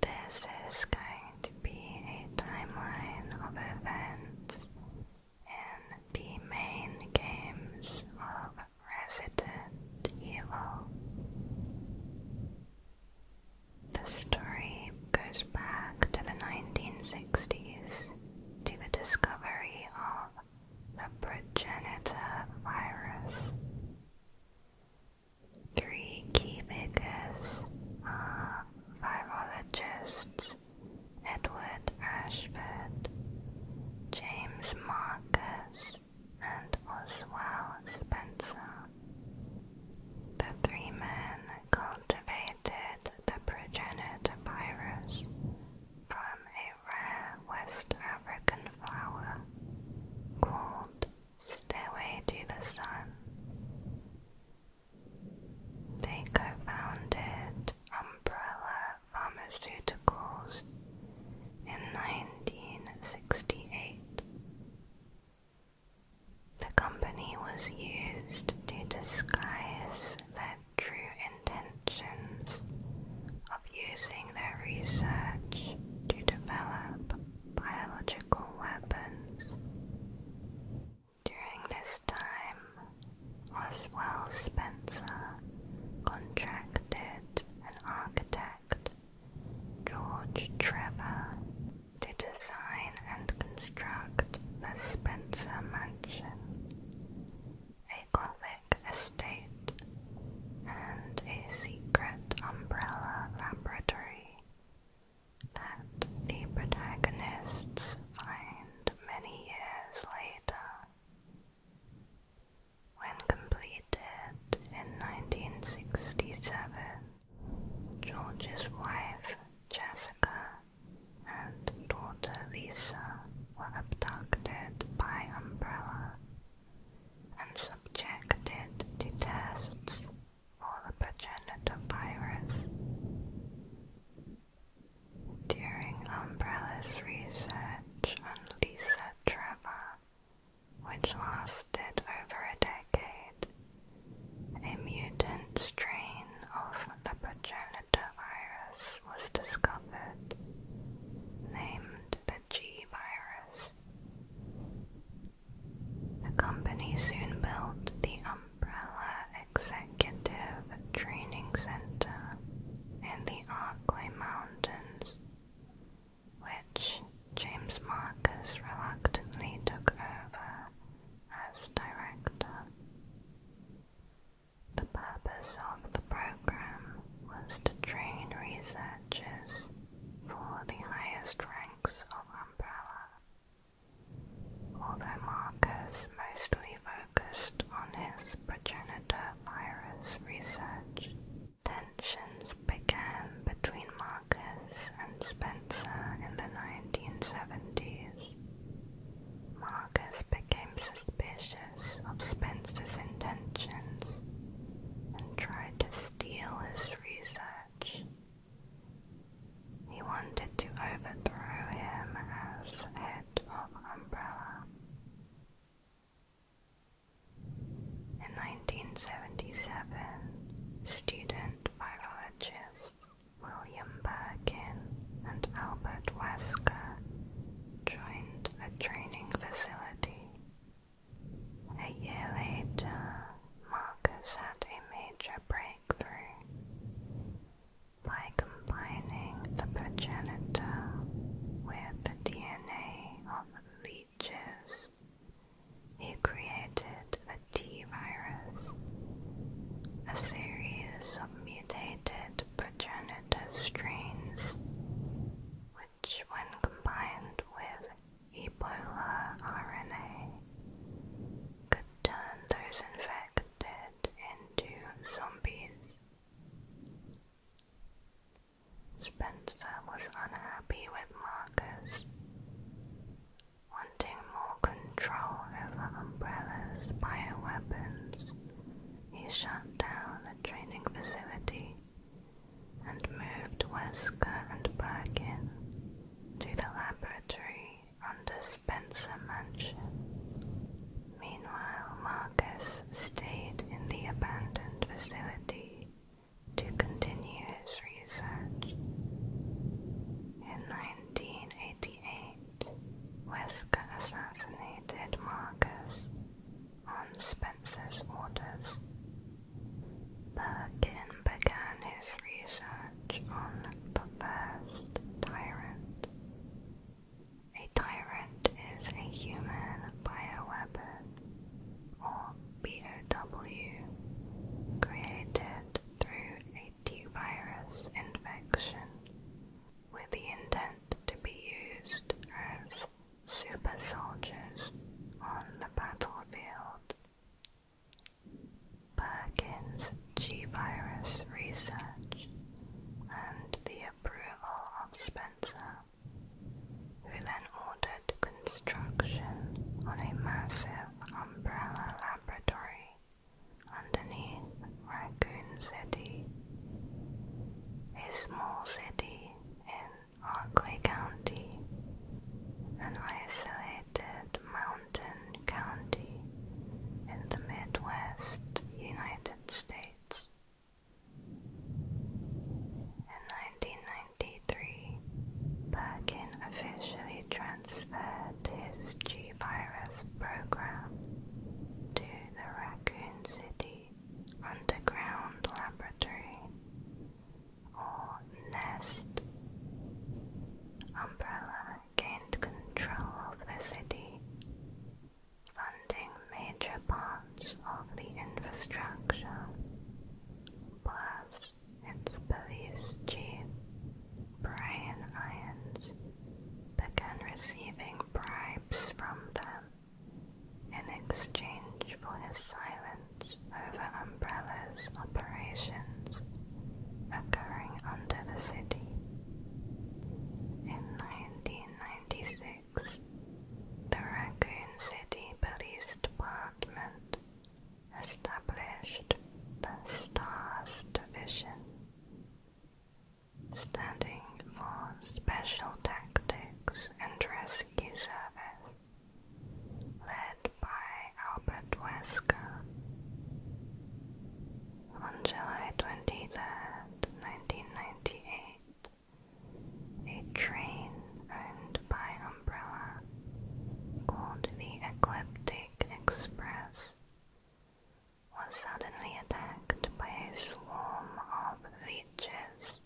This is going to be a timeline of events in the main games of Resident Evil. The story goes back to the 1960s to the discovery of the progenitor virus. Three key figures are uh, virologists Edward Ashford, James Marcus, and Oswald Spencer. The three men cultivated the progenitor virus from a rare West African flower called their to the sun. They co-founded Umbrella Pharmaceuticals in 1968. The company was used to disguise their true intentions of using their research to develop biological weapons. During this time, Oswell Spencer contracted an architect, George Trevor, to design and construct the Spencer Mansion, a Gothic estate, and a secret umbrella laboratory that the protagonists find many years later. When completed in 1967, George's wife, Jessica, and daughter Lisa were abducted by Umbrella and subjected to tests during Umbrella's research on Lisa Trevor, which lasted over a decade, a mutant strain of the progenitor virus was discovered, named the G virus. The company soon built the Umbrella Executive Training Center in the Arklay Mountains, which James Marcus reluctantly took over as director. The purpose of the program was to train researchers for the highest ranks of Umbrella. Although Marcus mostly focused on his progenitor virus research, tensions began between Marcus and Spencer in the 1970s. Marcus became suspicious of Spencer's intentions and tried to steal his research he wanted to overthrow him as head of Umbrella. In 1977, student virologists William Birkin and Albert Wesker joined a training facility. A year later, Marcus had a major breakthrough by combining the progenitor with the DNA of leeches. He created a T virus, a series of mutated progenitor strains, which, when combined with Ebola RNA could turn those infected into zombies. Spencer was unhappy with Marcus, wanting more control over Umbrella's bioweapons. He shut down the training facility and moved Wesker and Birkin to the laboratory under Spencer Mansion. Meanwhile, Marcus stayed in the abandoned facility to continue his research. In 1988, Wesker assassinated Marcus on Spencer's orders Perkin began his research on the first tyrant. A tyrant is a human bioweapon, or BOW, created through a T-virus infection with the intent to be used as super soldiers on the battlefield. Perkin's G-virus research and the approval of Spencer, who then ordered construction on a massive umbrella laboratory underneath Raccoon City, a small city in Oakley County, an isolated mountain County in the Midwest United States. In 1993, Birkin officially transferred his G-Virus program to the Raccoon City Underground Laboratory or nest. Umbrella gained control of the city, funding major parts of the infrastructure, plus its police chief, Brian Irons, began receiving bribes from them in exchange for his silence over Umbrella's operations occurring under the city. In 1996, the Raccoon City Police Department established the STARS Division, standing for Special Tactics and Rescue Service, led by Albert Wesker. On July 20th, 1998, a train owned by Umbrella called the Ecliptic Express was suddenly attacked by a swarm of leeches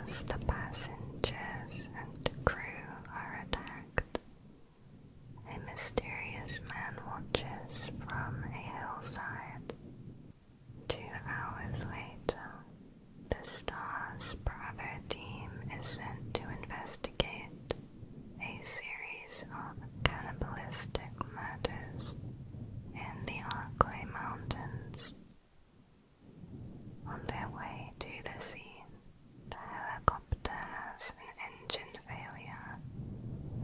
as the passengers and crew are attacked. A mysterious man watches from a hillside. Two hours later, the STARS private team is sent to investigate a series of cannibalistic murders in the Arklay Mountains. On their way to the scene, the helicopter has an engine failure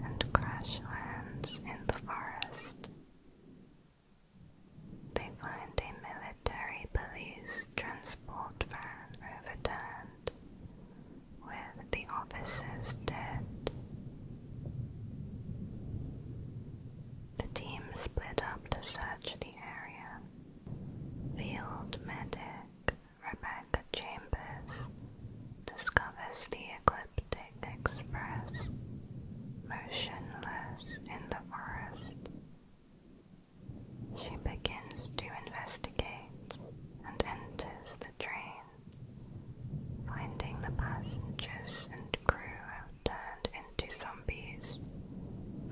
and crash lands in the forest. They find a military police transport van overturned, with the officers dead. The team split up to search the area. Field medic Rebecca Chambers discovers the Ecliptic Express motionless in the forest. She begins to investigate and enters the train, finding the passengers and crew have turned into zombies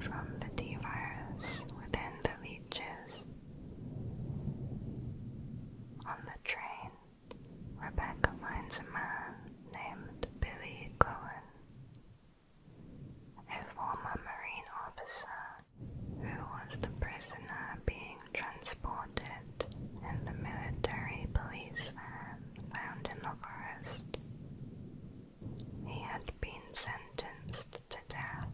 from the D virus within the leeches. On the train, Rebecca finds a man named Billy Cohen, a former Marine officer who was the prisoner being transported and the military police van found in the forest. He had been sentenced to death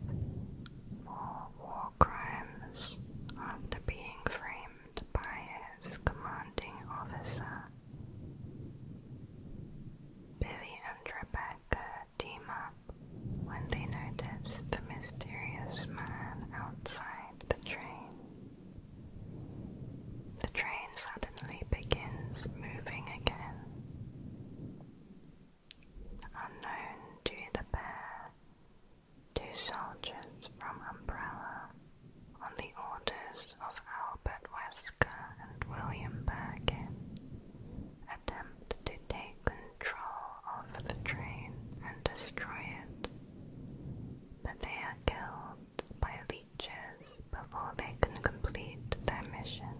for war crimes after being framed by his commanding officer. Billy and Rebecca team up when they notice the mysterious man outside the train. The train suddenly begins moving again. Unknown to the pair, two soldiers from Umbrella, on the orders of Albert Wesker and William Birkin, attempt to take control of the train and destroy it, but they are killed by leeches before they can complete their mission.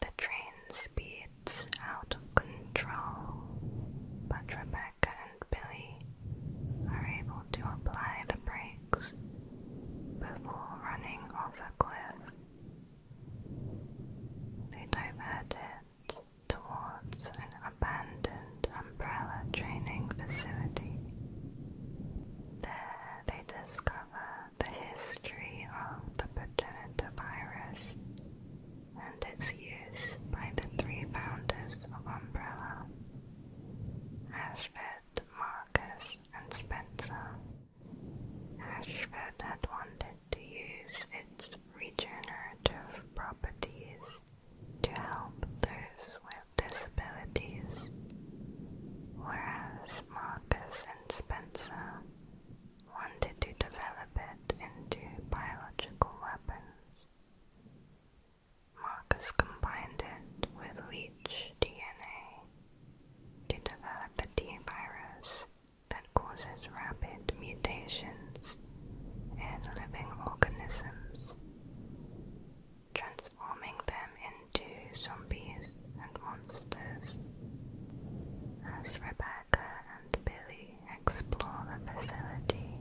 The train speeds out of control, but Rebecca and Billy are able to apply the brakes before running off a cliff. They divert it towards an abandoned umbrella training facility. There they discover the history of the Progenitor and its use by the three founders of Umbrella, Ashford, Marcus, and Spencer. Ashford had wanted to use its regenerative properties to help those with disabilities, whereas Marcus and Spencer wanted to develop it into biological weapons. Marcus combined it with leech DNA to develop a T virus that causes rapid mutations in living organisms, transforming them into zombies as Rebecca and Billy explore the facility,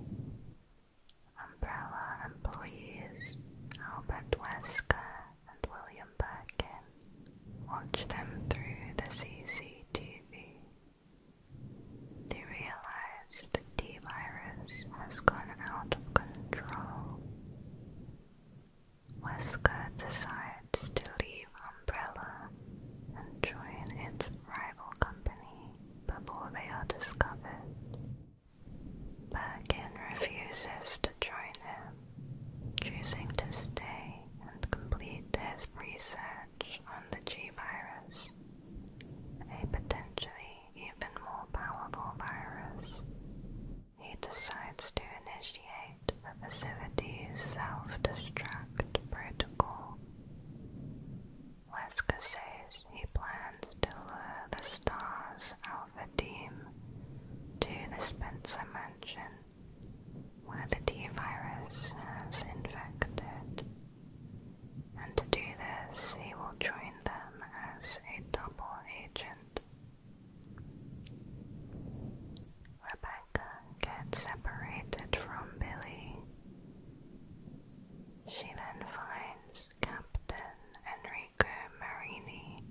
Umbrella employees Albert Wesker and William Birkin watch them through the CCTV. They realize the T virus has gone out of control. Wesker decides to leave Umbrella and join its rival company before they are discovered. Birkin refuses to join him, choosing to stay and complete his research on the G-Virus, a potentially even more powerful virus. He decides to initiate the facility's self-destruct protocol. Wesker says he plans to lure the Star's Alpha team to the Spencer Mansion, where the T-Virus has infected. And to do this, he will join them as a double agent. Rebecca gets separated from Billy. She then finds Captain Enrico Marini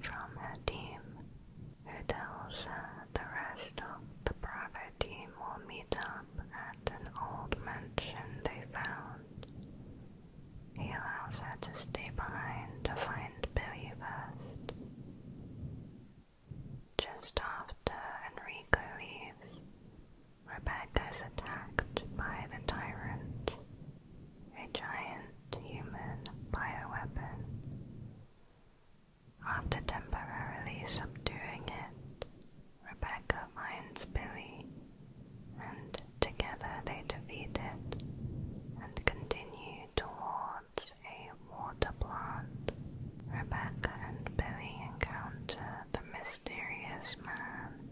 from her team, who tells her the rest of the private team will meet up at an old mansion they found. He allows her to stay behind to find Billy first. Just after Enrico leaves, Rebecca is attacked by the Tyrant, a giant human bio weapon. After temporarily subduing it, Rebecca finds Billy, and together they defeat it and continue toward a water plant, Rebecca and Billy encounter the mysterious man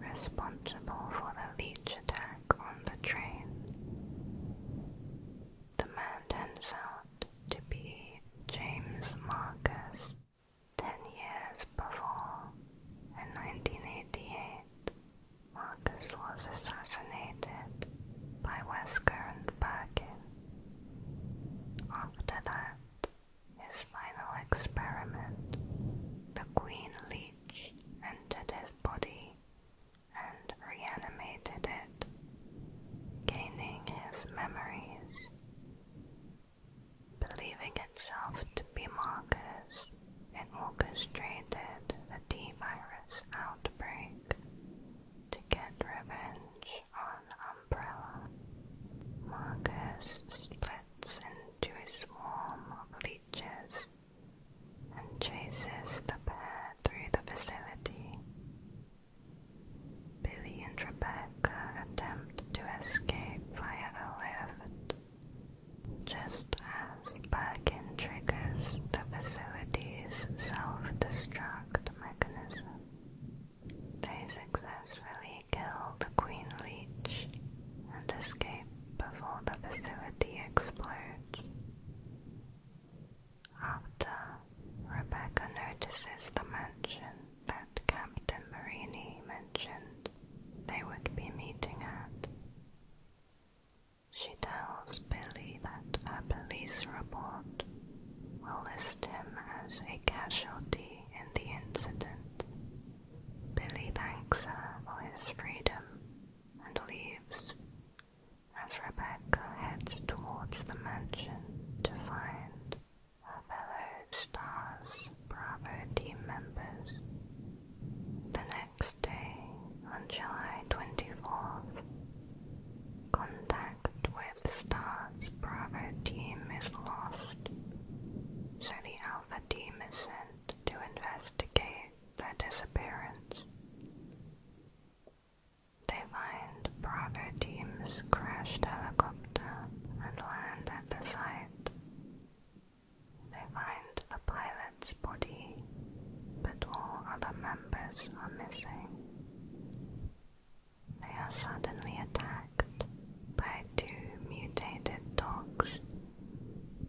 responsible for the leech attack on the train. The man turns out to be James Marcus. Ten years before, in 1988, Marcus was assassinated by Wesker and Birkin, after that, his final experiment, the queen leech entered his body and reanimated it, gaining his memories. Believing itself to be Marcus, it orchestrated the T virus outbreak to get revenge on umbrella. Marcus splits into a swarm of leeches and chases the pair through the facility. Billy and Rebecca attempt to escape via a lift. Just as Birkin triggers the facility's self-destruct mechanism. They successfully kill the Queen Leech and escape before the facility explodes. After, Rebecca notices the mansion that Captain Marini mentioned they would be meeting at. She tells Billy that a police report will list him as a casualty in the incident. Billy thanks her for his freedom and leaves as Rebecca heads towards the mansion to find her fellow Stars Bravo team members. The next day, on July 24th, contact with the Star's private team is lost, so the Alpha team is sent to investigate the disappearance. They find private team's crashed helicopter and land at the site. They find the pilot's body, but all other members are missing. They are suddenly attacked by two mutated dogs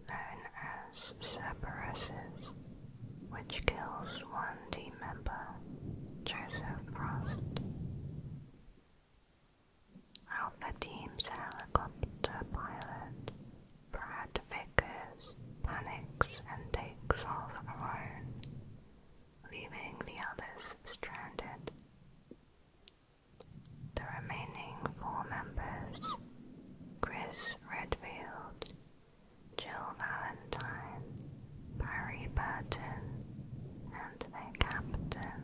known as Cerberuses, which kills one team member, Joseph Frost. Alpha Team's helicopter pilot, Brad Vickers, panics and takes off alone, leaving the others stranded. The remaining four members, Chris Redfield, Jill Valentine, Barry Burton, and their captain,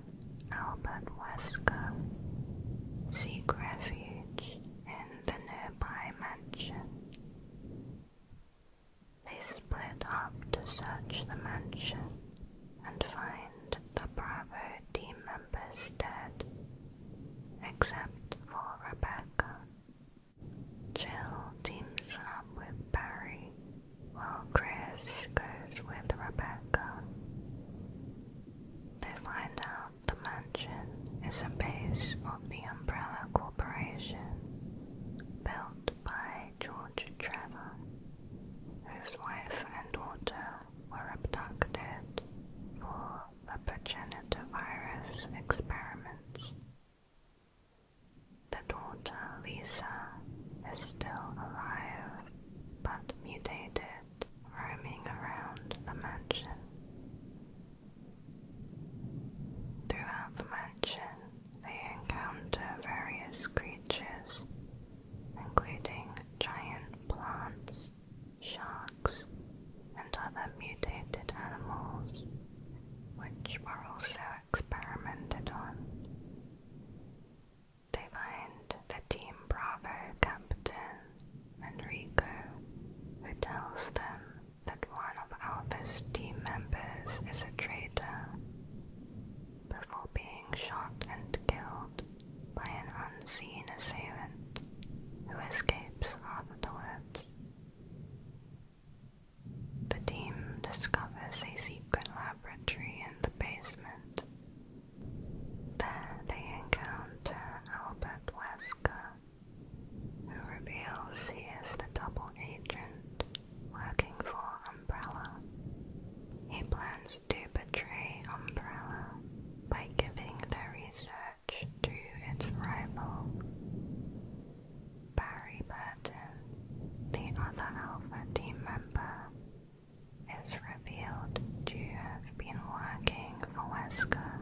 Albert Wesker, seek refuge in the nearby mansion. They split up to search the mansion and find the Bravo team members dead, except for Rebecca. Jill teams up with Barry, while Chris goes with Rebecca. They find out the mansion is a base of the Umbrella Corporation, built by George Trevor, whose wife and daughter were abducted for the progenitor experiments. The daughter, Lisa, is still alive but mutated, roaming around the mansion. Throughout the mansion, they encounter various creatures, including giant plants, sharks, and other mutated animals, which were also experimented on. They find the Team Bravo captain, Enrico, who tells them that one of Alpha's team members is a traitor before being shot and killed by an unseen assailant who escapes afterwards. The team discovers a secret laboratory in the basement. There they encounter Albert Wesker, who reveals he is the double agent working for Umbrella. He plans to betray Umbrella by giving the research to its rival. Barry Burton, the other Alpha team member, is revealed to have been working for Wesker,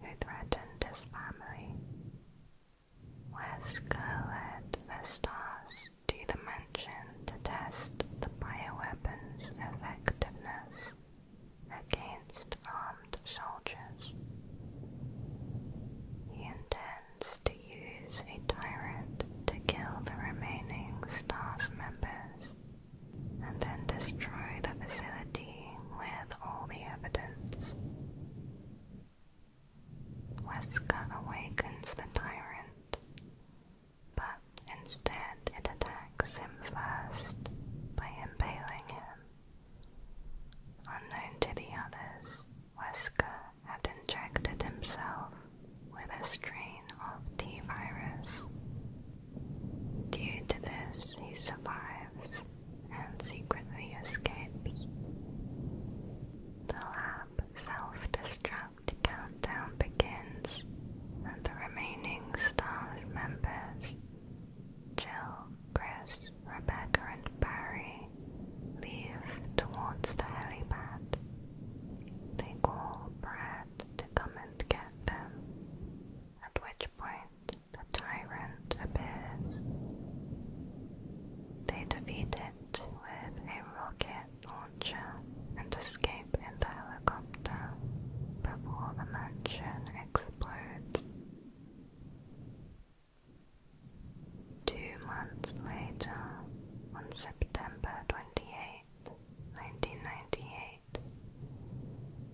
who threatened his family. Wesker led the stars to the mansion to test the bio weapon's effectiveness against armed soldiers. He intends to use a tyrant to kill the remaining STARS members and then destroy the facility with all the evidence. Wesker awakens the tyrant, but instead it attacks him first by impaling him. Unknown to the others, Wesker had injected himself with a strain of T virus. Due to this, he survives and secretly escapes. The lab self-destruct countdown begins and the remaining STARS members, Jill, Chris, Rebecca and Barry, leave towards the helipad. They call Brad to come and get them, at which point the tyrant they defeat it with a rocket launcher and escape in the helicopter before the mansion explodes. Two months later, on September 28,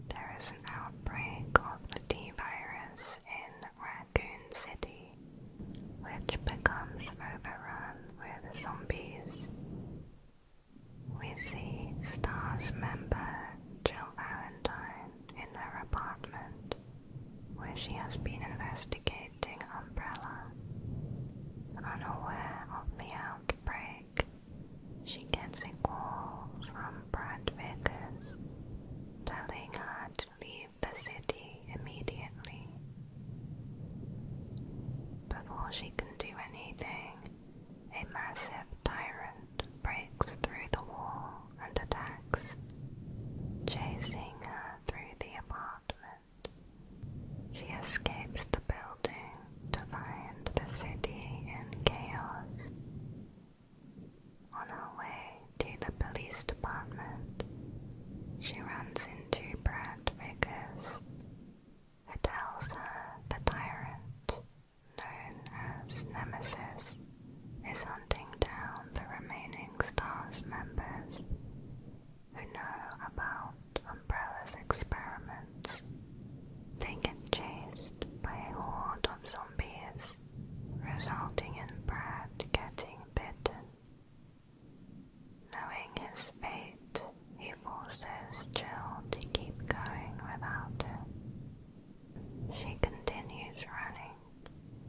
there is an outbreak of the T virus in Raccoon City, which becomes overrun with zombies. We see STARS member Jill Valentine in her apartment, where she has been investigating Umbrella. Unaware of the outbreak, she gets a call from Brad Vickers telling her to leave the city immediately. Before she can do anything, a massive tyrant breaks through the wall and attacks, chasing her through the apartment. She escapes the building to find the city in chaos. On her way to the police department, she runs into Brad Vickers, who tells her the tyrant, known as Nemesis, is hunting down the remaining STARS members who know about Umbrella's experiments. They get chased by a horde of zombies, resulting in Brad getting bitten Knowing his fate, he forces Jill to keep going without it. She continues running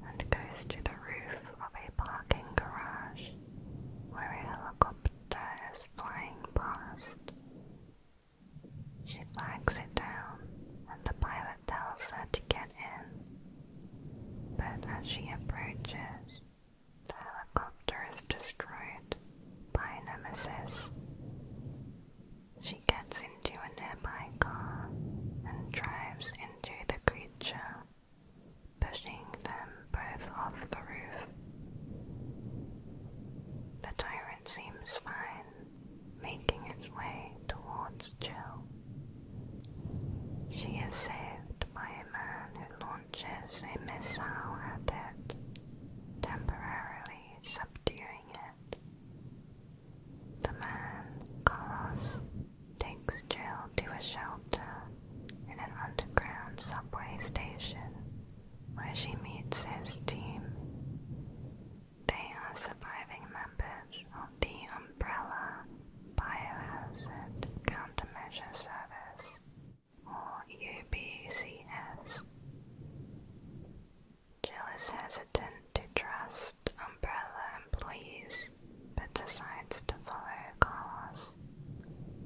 and goes to the roof of a parking garage where a helicopter is flying past. She flags it down, and the pilot tells her to get in, but as she approaches, the helicopter is destroyed by Nemesis. She gets into a nearby car and drives into the creature, pushing them both off the roof. The tyrant seems fine, making its way towards Jill. She is saved by a man who launches a missile at it, temporarily subduing it. The man, Carlos, takes Jill to a shelter in an underground subway station where she meets his team. They are surviving members of the umbrella Biohazard Countermeasure Service or UBCS. Jill is hesitant to trust Umbrella employees but decides to follow Carlos.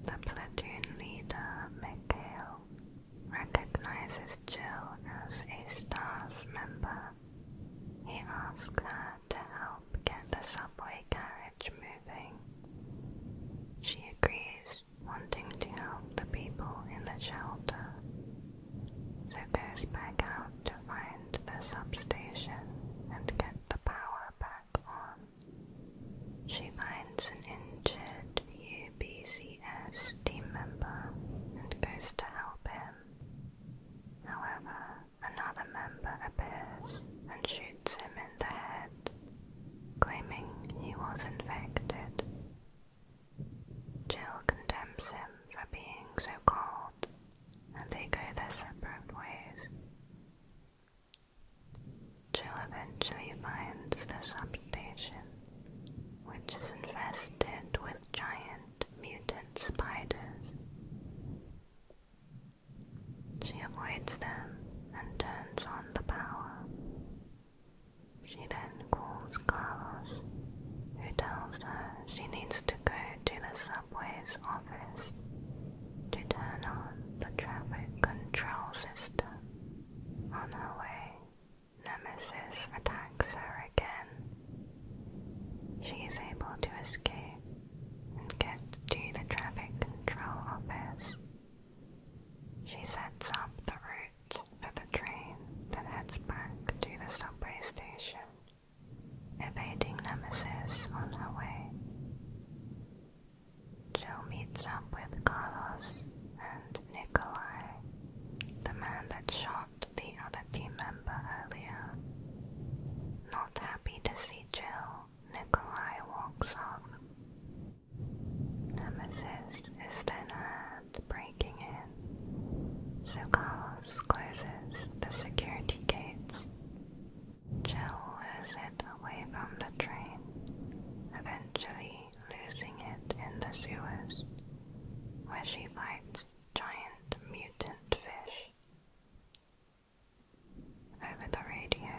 The platoon leader, Mikhail, recognizes Jill as a STARS member he asks her to help get the subway carriage moving. She agrees, wanting to help the people in the shelter, so goes back out to find the substation and get the power back on. She finds an injured UBCS team member and goes to help him. However, another member appears and shoots him in the head, claiming he was infected. Jill condemns him for being so cold, and they go their separate ways. Jill eventually finds the substation, which is infested with giant mutant spiders. She avoids them and turns on the power. She then calls Carlos, who tells her she needs to go to the subway's office to turn on the traffic control system. On her way, Nemesis attacks her again. She is able to escape get to the traffic control office. She sets up the route for the train that heads back to the subway station, evading Nemesis on her way. Jill meets up with Carlos and Nikolai, the man that shot the other team member earlier. Not happy to see Chill. Nikolai walks off. Nemesis is then heard breaking in, so closes the security gates. Jill lures it away from the train, eventually losing it in the sewers, where she fights giant mutant fish. Over the radio,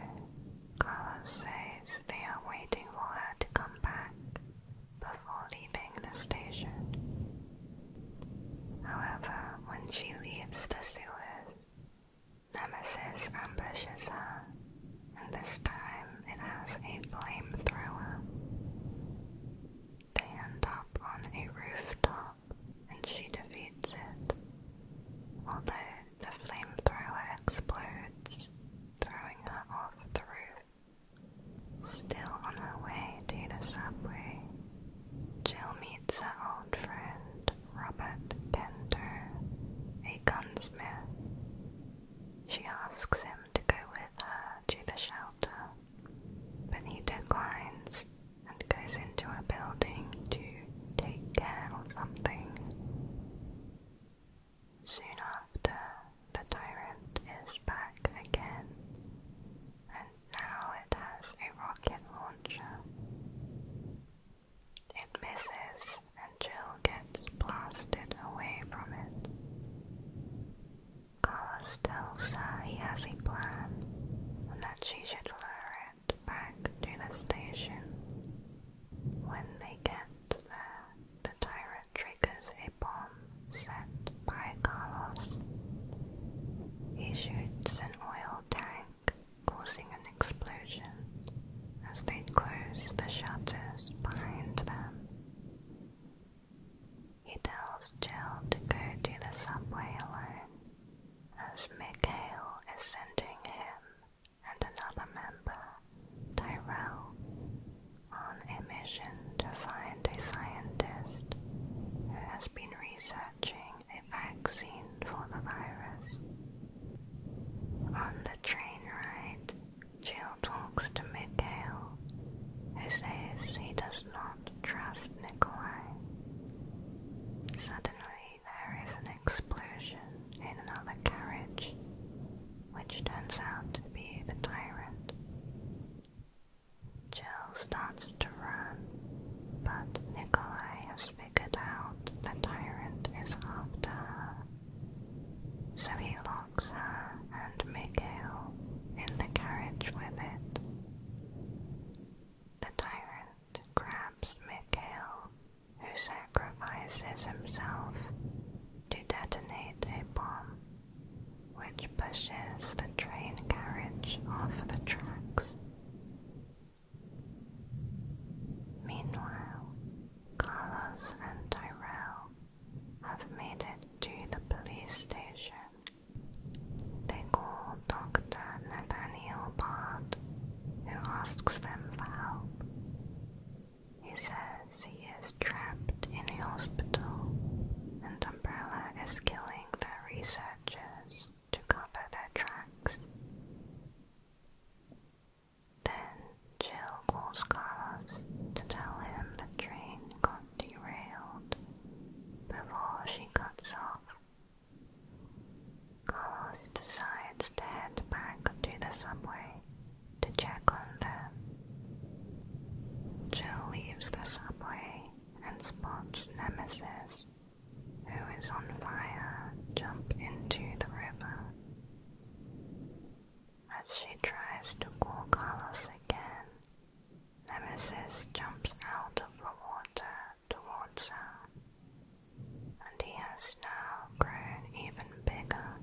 Carlos says they are waiting for her to come back before leaving the station. However, when she leaves the sewers, Nemesis ambushes her, and this time it has a flamethrower. They end up on a rooftop and she defeats it, although the flamethrower explodes, throwing her off the roof. Still on her way to the subway, Jill meets her old friend Robert Kento, a gunsmith. She asks him to go with her to the shelter, but he declines and goes into a building to take care of something. Soon after, the tyrant is back again, and now it has a rocket launcher. It misses, and Jill gets blasted away from it. Carlos tells her he has a plan and that she should lure back to the station. When they get there, the tyrant triggers a bomb set by Carlos. He shoots an oil tank, causing an explosion as they close the shutters behind them. He tells Jill to go to the subway alone as Mikhail is sending him and another member, Tyrell, on a mission to find a scientist who has been researching a vaccine for the virus. On the train ride, Jill talks to Mikhail, who says he does not trust Nikolai. Suddenly, there is an explosion in another carriage, which turns out to be the tyrant. Jill starts to run, but Nikolai has figured out the tyrant is after her. So he locks her and Mikhail in the carriage with it. The tyrant grabs Mikhail, who sacrifices himself to detonate a bomb, which pushes the train carriage off the tracks. Meanwhile, Carlos and Tyrell have made it to the police station. They call Dr. Nathaniel Bard, who asks them for help. He says he is trapped in the hospital and Umbrella is killing their researchers to cover their tracks. Then Jill calls Carlos to tell him the train got derailed. Before she cuts off, Carlos decides to head back to the subway to check on them. Jill leaves the subway and spots Nemesis, who is on fire, jump into the river. As she tries to call Carlos again, Nemesis jumps out of the water towards her, and he has now grown even bigger.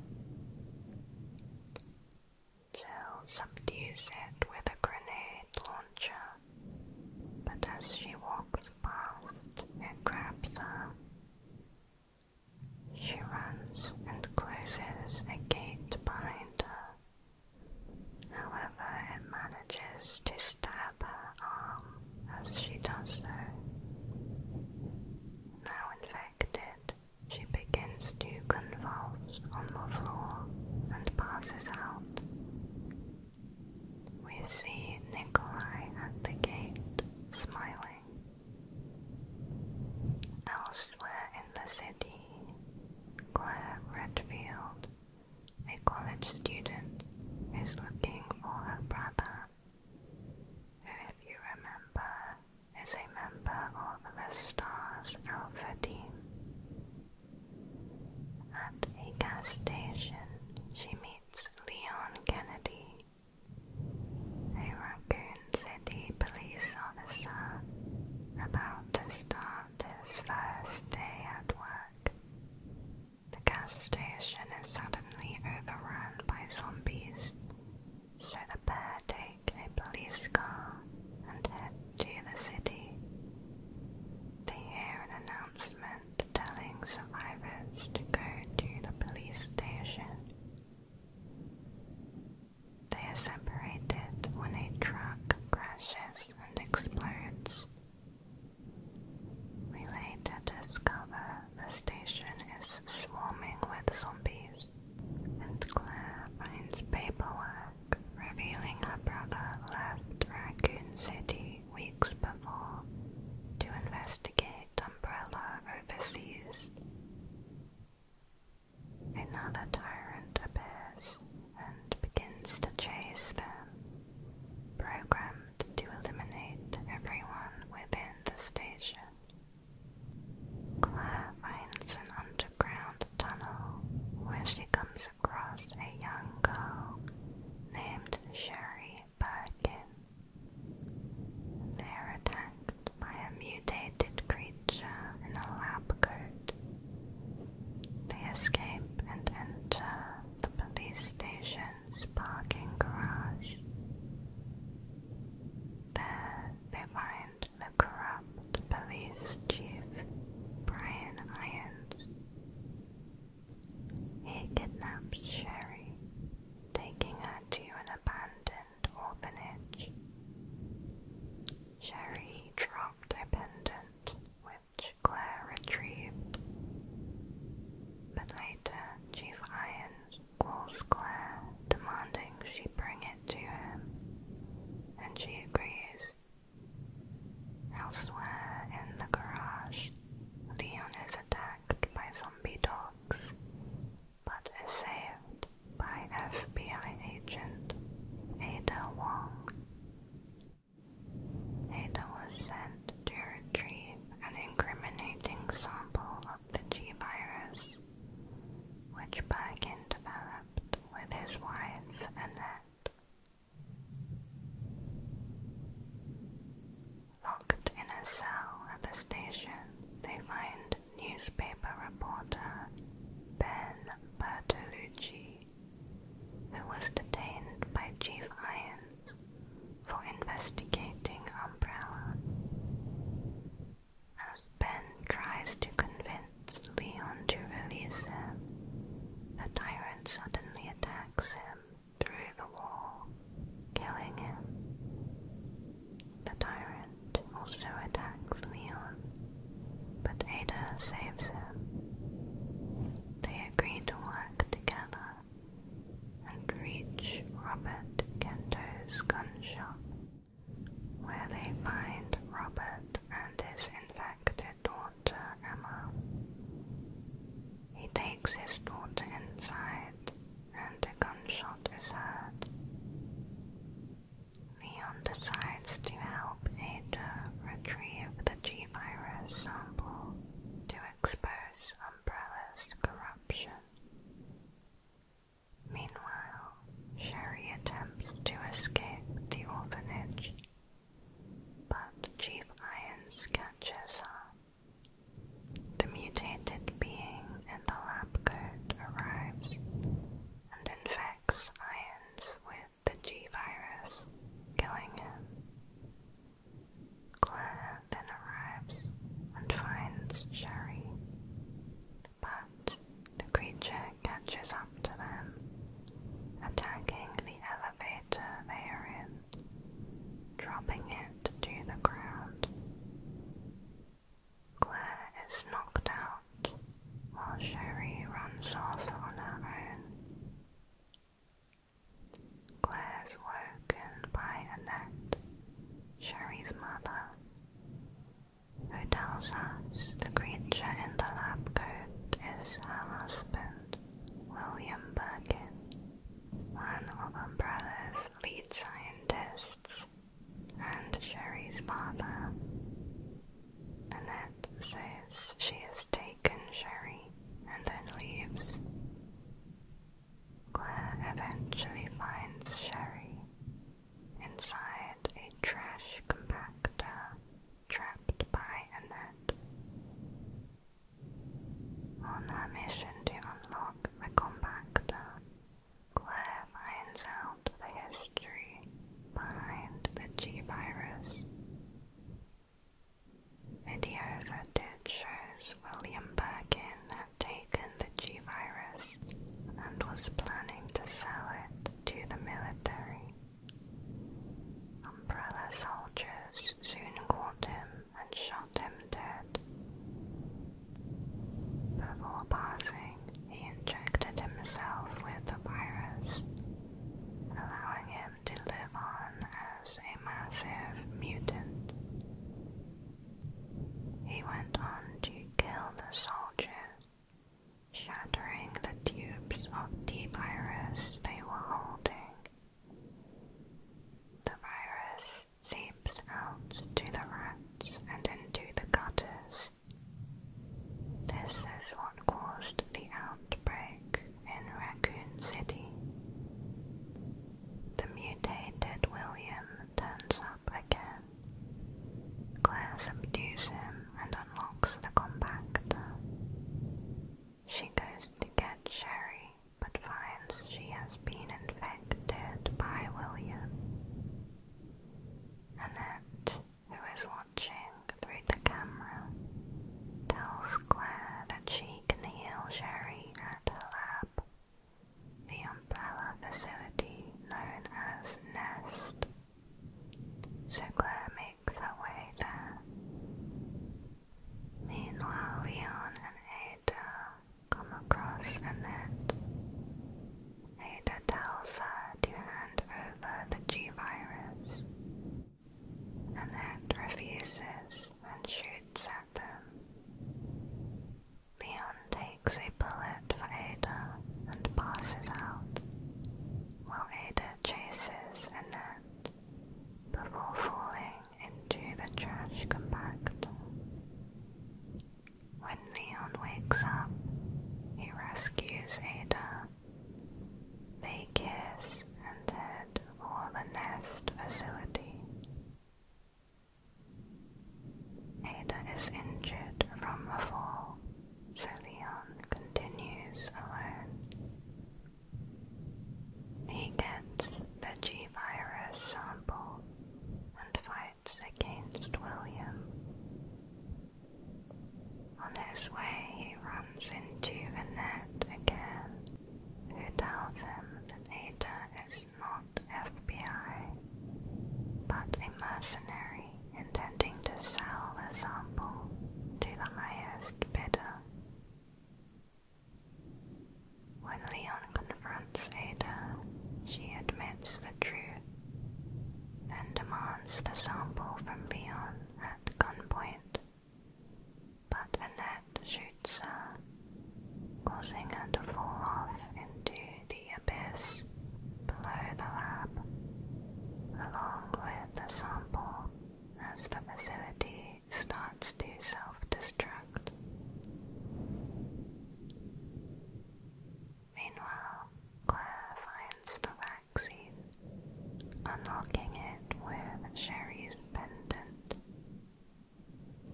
Jill subdues it with a grenade launcher, but as she walks past, it grabs her. She runs and closes a gate behind her. However, it manages to stab her arm as she does so. Now infected, she begins to convulse on the floor and passes out. We see Nikolai at the gate, smiling. Elsewhere in the city, Claire Redfield a college student is looking for her brother, who, if you remember, is a member of the Stars Alpha team. At a gas station, she meets Leon Kennedy, a Raccoon City police officer about to start his first day at work. The gas station is suddenly overrun by zombies, so the pair take a police car and head to the city. They hear an announcement telling survivors to go to the police station. They are separated when a truck crashes and explodes. We later discover the station is swarming with zombies, and Claire finds paperwork revealing her brother left Raccoon City weeks before to investigate Umbrella overseas. Another tyrant appears and begins to chase them, programming to eliminate everyone within the station. Claire finds an underground tunnel where she comes across a young girl named Sherry Birkin. They're attacked by a mutated creature in a lab coat. They escape and enter the police station friend's parking garage. There they find the corrupt police chief, Brian Irons. He kidnaps Sherry, taking her to an abandoned orphanage. Sherry dropped a pendant with which Claire retrieved. But later, Chief Irons calls Claire, demanding she bring it to him, and she agrees. Elsewhere in the garage, Leon is attacked by zombie dogs, but is saved by an FBI agent Ada Wong. Ada was sent to retrieve an incriminating sample of the G virus, which Bergin developed with his wife Annette. Locked in a cell at the station, they find newspaper reporter Ben Bertolucci, who was detained by Chief Iron for investigating Umbrella. As Ben tries to convince Leon to release him, the tyrant suddenly attacks him through the wall, killing him. The tyrant also attacks Leon, but Ada saves him. They agree to work together and reach Robert Kento's gun shop, where they find Robert and his infected daughter Emma. He takes his daughter inside, and a gunshot is heard. Leon decides to help Ada retrieve the G virus sample expose Umbrella's corruption. Meanwhile, Sherry attempts to escape the orphanage, but Chief Irons catches her. The mutated being in the lab coat arrives and infects Irons with the G virus, killing him. Claire then arrives and finds Sherry, but the creature catches up to them, attacking the elevator they are in, dropping it to the ground. Claire is knocked out while Sherry runs off on her own. Claire's woken by Annette, Sherry's mother, who the creature in the lab coat is her husband, William Birkin, one of Umbrella's lead scientists and Sherry's father. Annette says she has taken Sherry and then leaves. Claire eventually finds Sherry inside a trash compactor trapped by Annette. On her mission to unlock the compactor, Claire finds out the history behind the G-Virus Video footage shows William Birkin had taken the G virus and was planning to sell it to the military. Umbrella soldiers soon caught him and shot him dead. Before passing, he injected himself with the virus, allowing him to live on as a massive mutant. He went on to kill the soldiers, shattering the tubes of the virus they were holding. The virus seeps out to the rats and into the gutters. This is what caused the outbreak in Raccoon City. The mutated William turns up again. Claire subdues him and unlocks the compactor. She goes to get Sherry, but finds she has been infected by William. Annette, who is watching through the camera, tells Claire that she can heal Sherry at her lab. The umbrella facility known as Nest. So makes her way there. Meanwhile, Leon and Ada come across Annette. Ada tells her to hand over the G virus. and Annette refuses and shoots at them. Leon takes a bullet for Ada and passes out, while Ada chases Annette before falling into the trash compactor. When Leon wakes up, he rescues Ada. They kiss and head for a nest facility. Ada is injured from a fall, so Leon continues alone. He gets the G virus sample and fights against William. On his way, he runs into Annette again, who tells him that Ada is not FBI, but a mercenary intending to sell the sample to the highest bidder. When Leon confronts Ada, she admits the truth, then demands the sample from Leon at gunpoint but the net shoots her, causing her to fall off into the abyss below the lab, along with the sample as the facility starts to self-destruct. Meanwhile, Claire finds the vaccine, unlocking it with Sherry's pendant.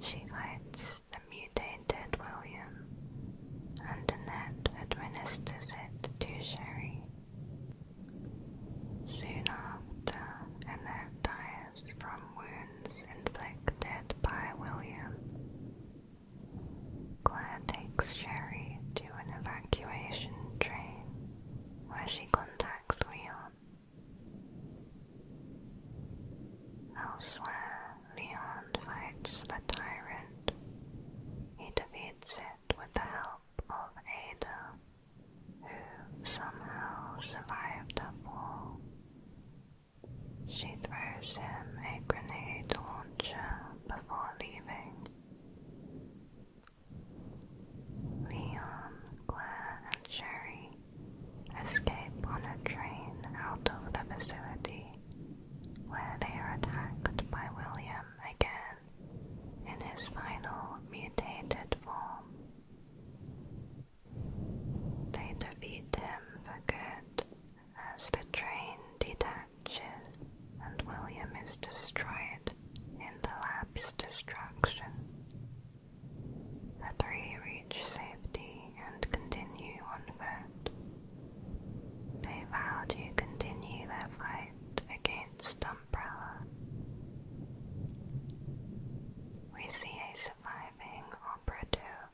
She writes the mutated William, and Annette administers it to Sherry. Soon after, Annette dies from wounds inflicted by William. Claire takes Sherry to an evacuation train where she contacts Leon. Elsewhere, Leon fights the tyrant. He defeats it with the help of Ada, who somehow survived the fall. She throws him a grenade launcher before leaving. Leon, Claire, and Sherry escape on a train out of the facility, where they are attacked by William again in his final mutated form. They defeat him for good as the train detaches and William is destroyed in the lab's destruction. The three reach safety and continue on foot. They vow to continue their fight against Umbrella. We see a surviving operative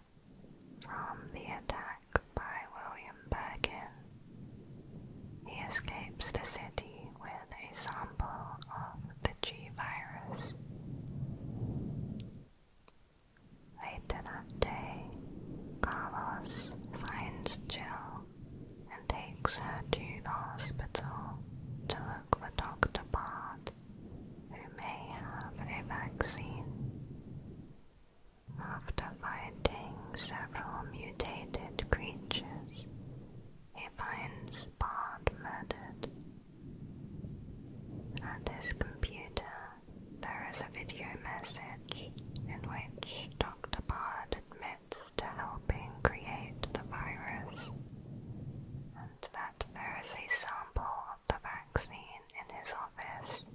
from the attack by William Birkin. He escapes the city with a sample of the G virus. Later that day, Carlos finds Jill and takes her to the hospital to look for Dr. Bart, who may have a vaccine. After fighting several mutated creatures, he finds Bart murdered on this computer, there is a video message in which Dr. Bard admits to helping create the virus and that there is a sample of the vaccine in his office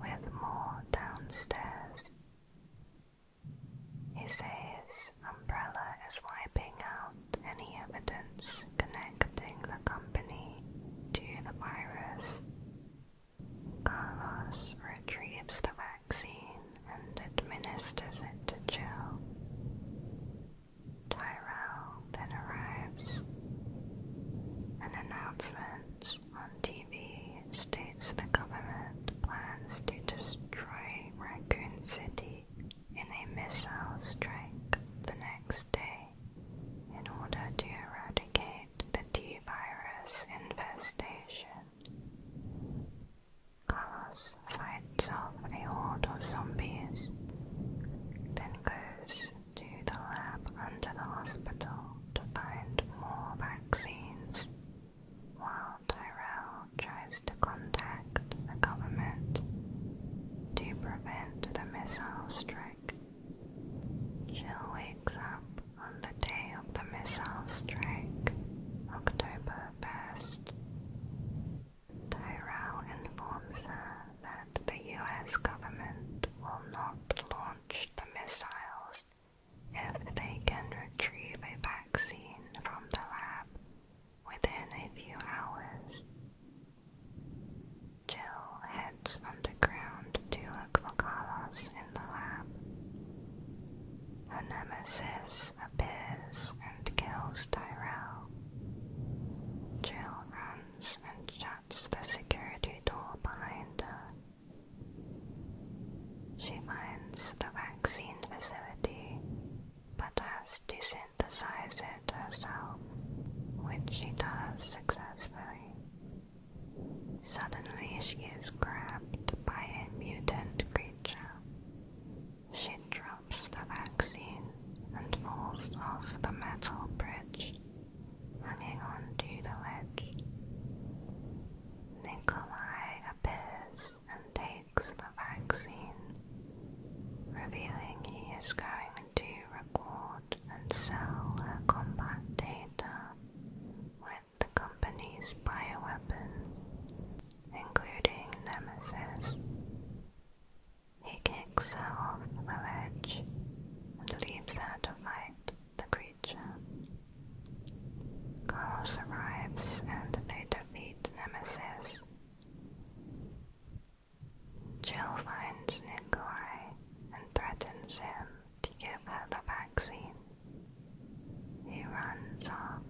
with more downstairs. He says Umbrella is wiping out any evidence connecting the company to the virus. Carlos retrieves the vaccine and administers it to Jill. Tyrell then arrives. An announcement on TV states the government plans to destroy Raccoon City in a missile strike the next day in order to eradicate the T virus infestation. Carlos fights off a horde of zombies, then goes to the lab under the hospital to find more vaccines, while Tyrell tries to contact the government to prevent the missile strike. Jill wakes up on the day of the missile strike, October 1st. Tyrell informs her that the US government will not launch the missiles if they can retrieve a vaccine from the lab within a few hours Jill heads underground to look for Carlos in the lab. Her nemesis appears and kills Tyrell. Jill runs and shuts the security door behind her. She finds the vaccine facility but has to say Synthesizes it herself, which she does successfully. Suddenly, she is grabbed by a mutant creature. She drops the vaccine and falls off the metal bridge, hanging on to the ledge. Nikolai appears and takes the vaccine, revealing he is going to record and sell her uh, combat data with the company's bioweapons, including Nemesis. He kicks her off the ledge and leaves her to fight the creature. Carlos arrives and they defeat Nemesis. Jill finds Nikolai and threatens him to give her the vaccine. He runs off,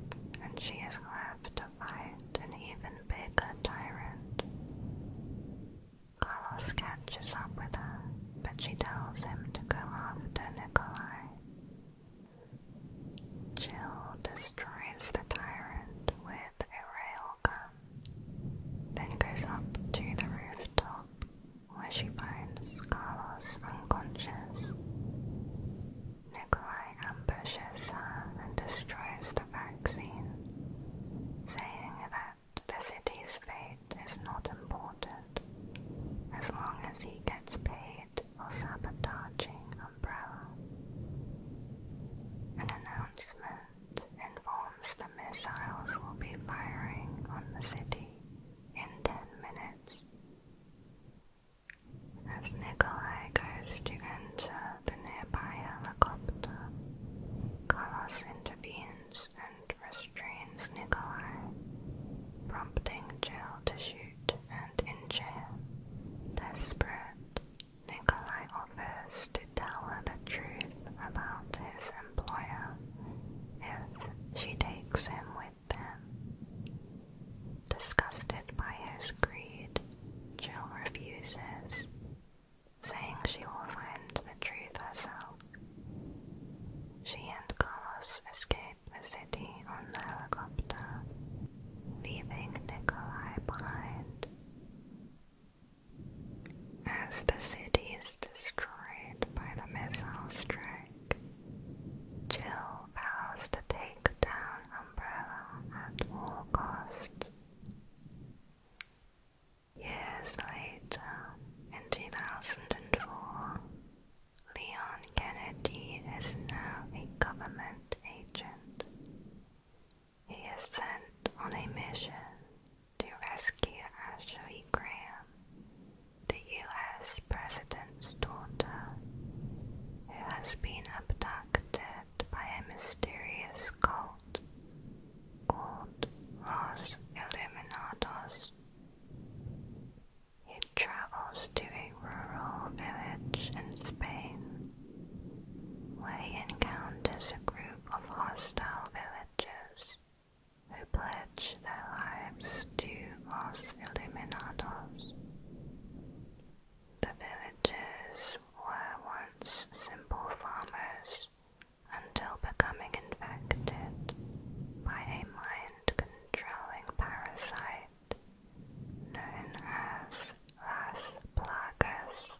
and she is left to fight an even bigger tyrant. Carlos catches up with her, but she tells him to go after Nikolai. Jill destroys the tyrant with with a railgun, then goes up to the rooftop where she finds Carlos unconscious. Nikolai ambushes her and destroys the vaccine, saying that the city's fate is not important as long as he gets paid for sabotaging Umbrella. An announcement informs the missiles will be firing on the city in 10 minutes. As Nikolai goes to enter the nearby helicopter, Carlos intervenes and restrains Nikolai, prompting Jill to shoot and injure him, desperate Nikolai offers to tell her the truth about his employer if she takes him with them. Disgusted by his greed, Jill refuses, saying she will find the truth herself. She and Carlos escape the city on the helicopter, leaving Nikolai behind as the city is destroyed by the missile strike. Jill vows to take down Umbrella at all costs. Years later, in 2004, Leon Kennedy is now a government agent. He is sent on a mission to rescue Ashley Graham, the US President's daughter, who has been abducted by a mysterious cult called Los Illuminados. He travels to a rural village in Spain where he encounters a group of hostile villagers pledges who pledge their lives to Los Illuminados. The villagers were once simple farmers until becoming infected by a mind-controlling parasite known as Las Plagas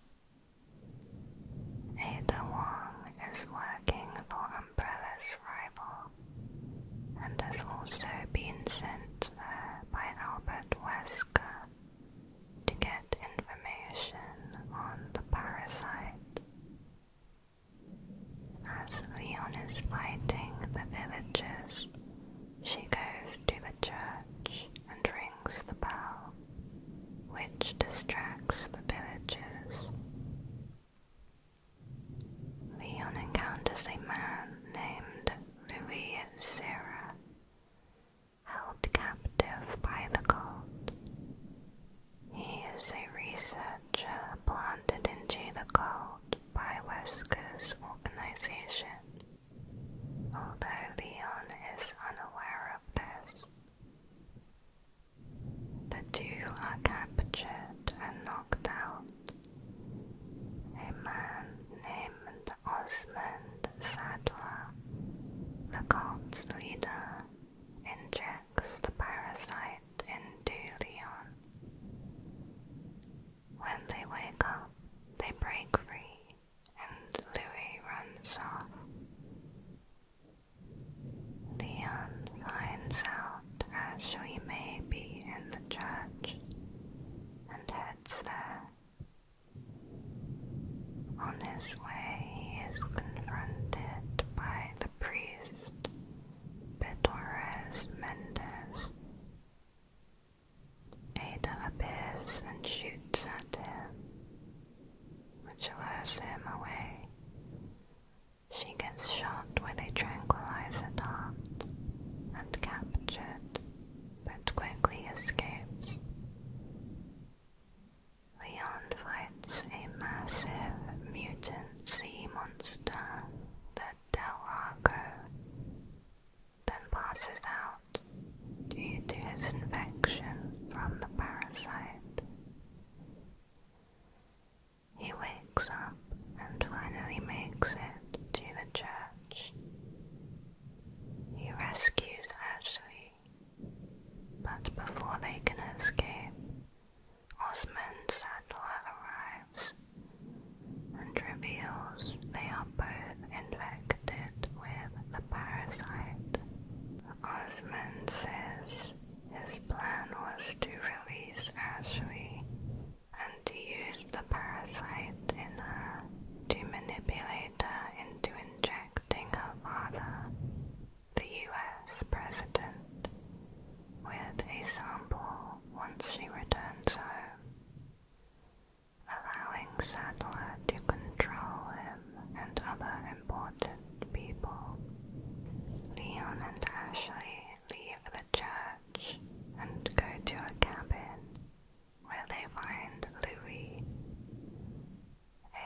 Ada Wong is working for Umbrella's rival and has also been sent there uh, by Albert Wesker to get information on the parasite. As Leon is fighting the villagers, she goes to the church and rings the bell which distracts the villagers. Leon encounters a man named Louis Serra, held captive by the cult. He is a researcher planted into the cult by Wesker's organization. Although Leon is unaware of this, the two are captured and knocked out. A man named Osmond Sadler, the cult's leader, injects the parasite into Leon. When they wake up, they break free and Louis runs off. Leon finds out Ashley may be in the church and heads there. On his way, he is confronted by the priest, Pedores Mendez. Ada appears and shoots at him, which lures him away. She gets shot with a tranquilizer dart and captured, but quickly escapes. Leon fights a massive mutant sea monster, the Delago, then passes out due to his infection from the parasite. He wakes up and finally makes it to the church. He rescues Ashley, but before they can escape, Osman Sattler arrives and reveals they are both infected with the parasite Osman says his plan was to release Ashley and to use the parasite in her to manipulate her into injecting her father, the US president, with a sample once she returns home, allowing Sadler to control him and other important people. Leon and Ashley leave the church and go to a cabin where they find Louis.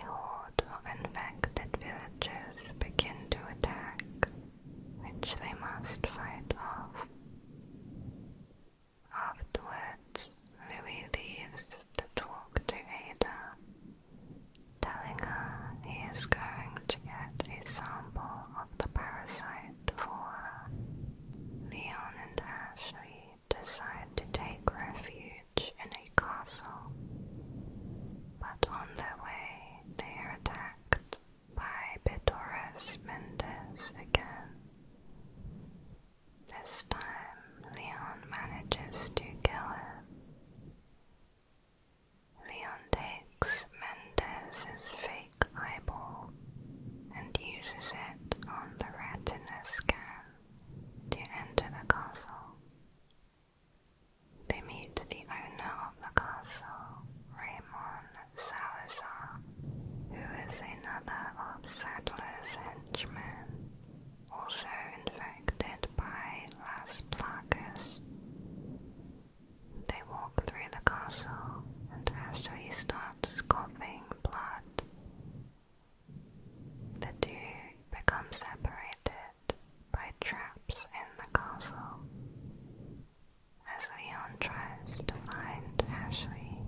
A horde of infected villagers begin to attack, which they must fight off. Afterwards, Louis leaves to talk to Ada telling her he is going to get a sample of the parasite for Leon and Ashley decide to take refuge in a castle, but on their way they are attacked by Bitores Mendez again. This time, Leon manages to kill him, Leon takes Mendez's fake eyeball and uses it on the retina scan to enter the castle. They meet the owner of the castle, Raymond Salazar, who is another of Sadler's henchmen also infected by Las Plagas. They walk through the castle and Ashley starts coughing blood. The two become separated by traps in the castle. As Leon tries to find Ashley,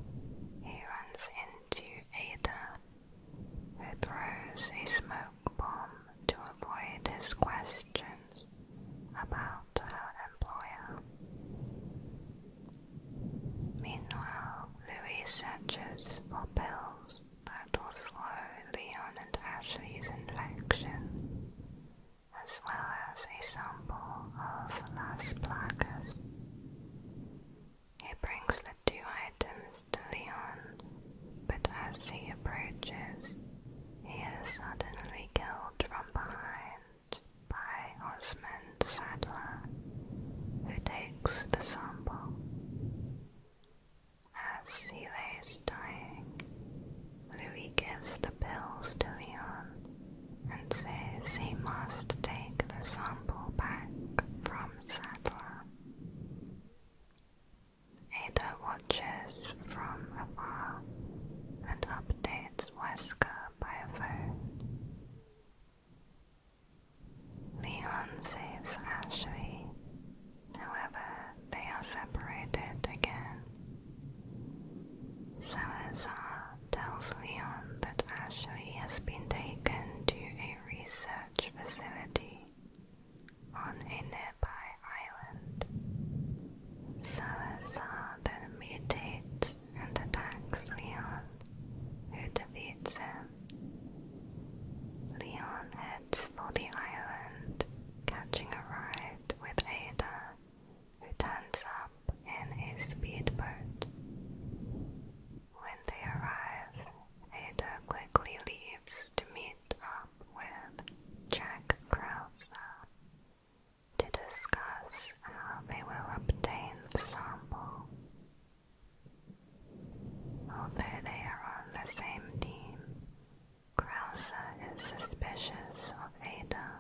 he runs into Ada, who throws a smoke to avoid his questions about her employer. Meanwhile, Louis searches for pills that will slow Leon and Ashley's infection, as well as a sample of Las Placas. He brings the two items Castellion, but as he approaches, he is suddenly killed from behind by Osmond Sadler, who takes the sample. As he lays dying, Louis gives the pills to Leon and says he must take the sample back from Sadler. Ada watches from afar and updates Wesker by phone. Leon saves Ashley, however, they are separated again. Salazar tells Leon that Ashley has been taken to a research facility on a nearby island. Salazar then mutates and attacks Leon, who defeats him. Leon heads for the island, catching a ride with Ada, who turns up in a speedboat. When they arrive, Ada quickly leaves to meet up with Jack Krauser to discuss how they will obtain the sample. Although they are on the same team, Krauser is suspicious of Ada.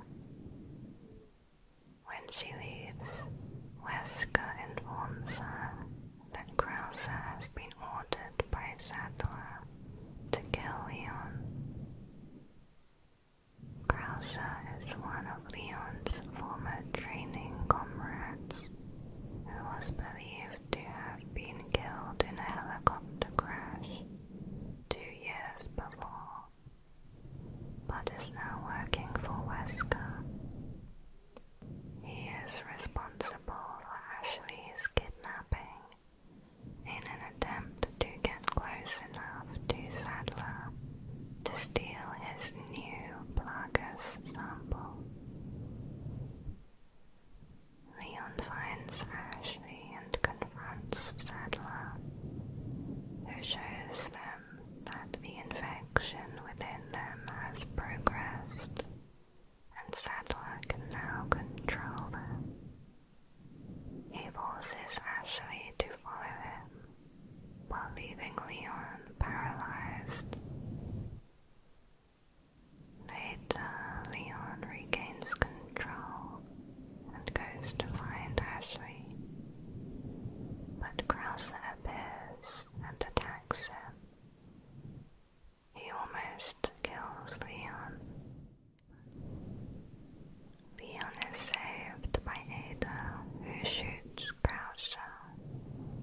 When she leaves, Wesker informs her that Krause has been ordered by Sadler to kill Leon. Krause is one of Leon's former training comrades who was believed to have been killed in a helicopter crash two years before, but is now working for Wesker. He is responsible Ashley is kidnapping in an attempt to get close enough to Sadler to steal his new Plagas sample. Leon finds Ashley and confronts Sadler, who shows them that the infection within them has progressed and Sadler can now control them. He forces Ashley to follow him, while leaving Leon paralyzed. Later, Leon regains control and goes to find Ashley, but Krauser appears and attacks him. He almost kills Leon. Leon is saved by Ada, who shoots Croucher,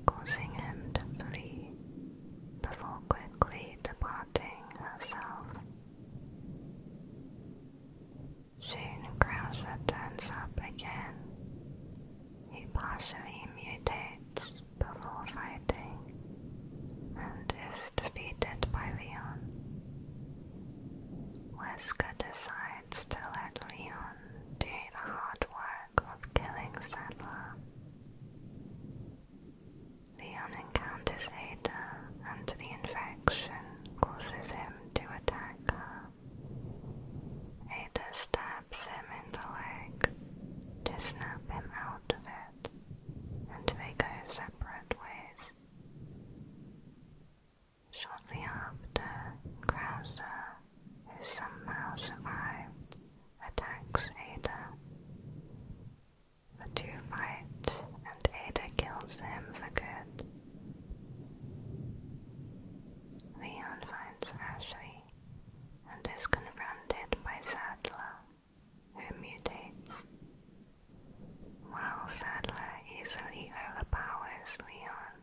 causing him to flee, before quickly departing herself. Soon Croucher turns up again. He partially mutates before fighting and is defeated by Leon. Wesker decides to let Leon do the hard work of killing Settler. Leon encounters Ada and the infection causes him to attack her. Ada stabs him in the leg to snap him out of it and they go separate ways. Shortly after, Krauser, who somehow survived, attacks Ada. The two fight, and Ada kills him for good. Leon finds Ashley and is confronted by Sadler, who mutates. While Sadler easily overpowers Leon,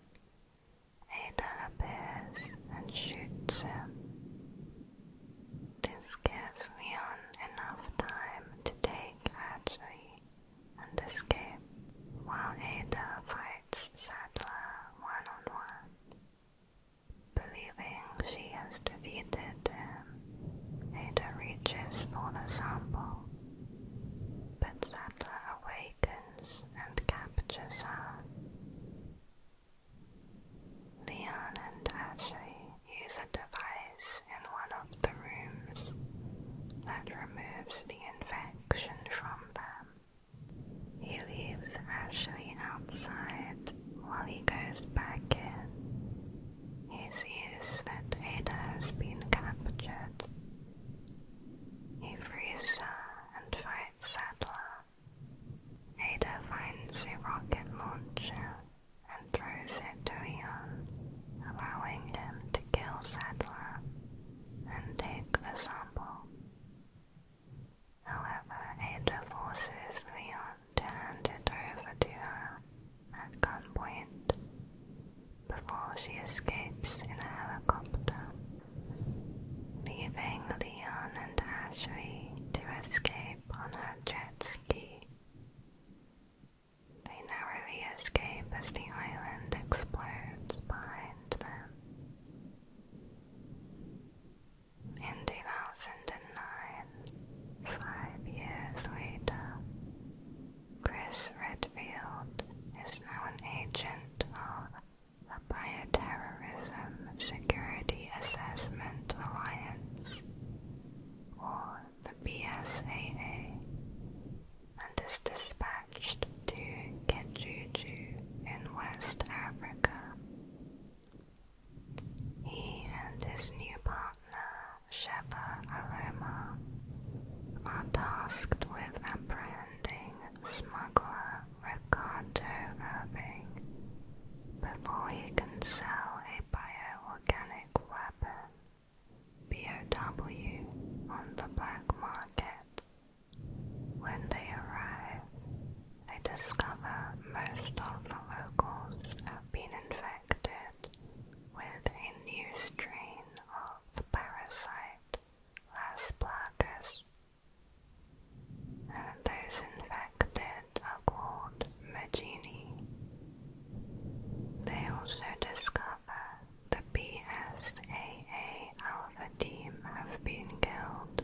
Aiden appears and shoots him. This gives Leon enough time to take Ashley and escape, while Ada fights Sadler -one. Believing she has defeated him, Ada reaches for the sample, but Sattler awakens and captures her. Leon and Ashley use a device in one of the rooms that removes the infection from them. He leaves Ashley outside while he goes back in, he sees that Ada has been captured. He frees her and fights Sadler. Ada finds a rocket launcher and throws it to Eon, allowing him to kill Sadler and take a sample. However, Ada forces Leon hand it over to her at gunpoint before she escapes in a helicopter, leaving Leon and Ashley to escape on a jet ski. They narrowly escape as the island explodes behind them. In 2009, five years later, Chris Redfield is now an agent of the Bioterrorism Security Assessment Alliance, or the BSAA, and is dispatched to Kejuju in West Africa. He and his new partner, Sheva Aloma, are tasked with apprehending smuggler Ricardo Irving before he can sell a bioorganic weapon, BOW, on the black market. When they arrive, they discover most of the locals have been infected infected with a new strain of the parasite Las Plagas, and those infected are called Magini. They also discover the BSAA alpha team have been killed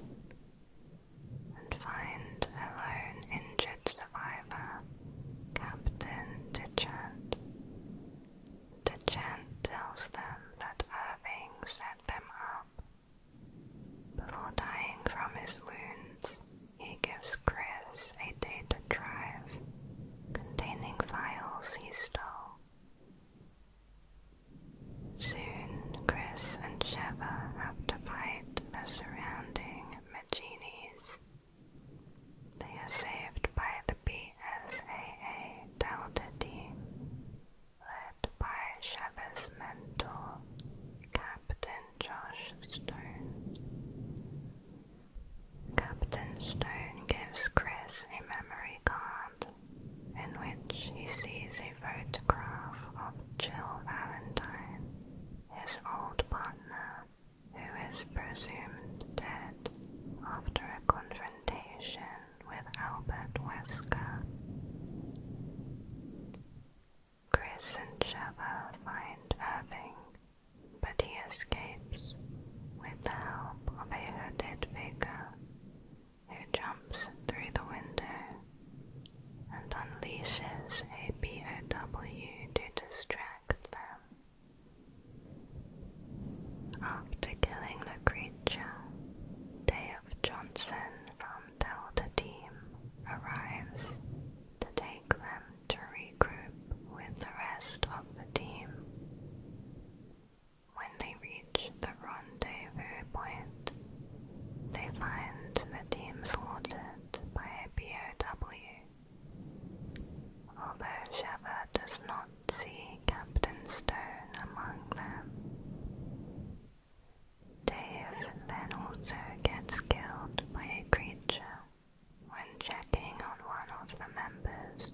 and find a lone injured survivor, Captain Dechant. Dechant tells them that Irving set them up. Before dying from his wounds, he gives Chris a data drive containing files he stole. Soon, Chris and Sheva have to fight the surrounding Genies. They are saved by the BSAA Delta D, led by Sheva's mentor, Captain Josh Stone. Captain Stone gives Chris a memory card in which he sees a photograph of Jill Valentine his old partner, who is presumed dead after a confrontation with Albert Wesker. Chris and Sheva find Irving, but he escapes with the help of a hooded figure who jumps through the window and unleashes a B O W to distract them. After killing the creature, Dave Johnson from Delta Team arrives to take them to regroup with the rest of the team. When they reach the rendezvous point, they find the team slaughtered by a although Sheva does not see Captain Stone among them. Dave then also gets killed by a creature when checking on one of the members.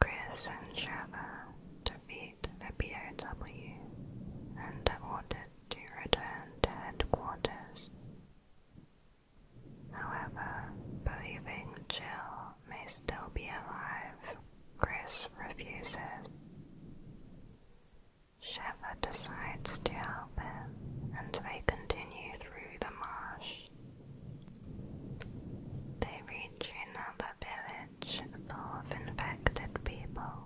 Chris and Sheva, to be meet the POW and are ordered to return to headquarters. However, believing Jill may still be alive, Chris refuses. Sheva decides to help him, and they continue through the marsh. They reach another village full of infected people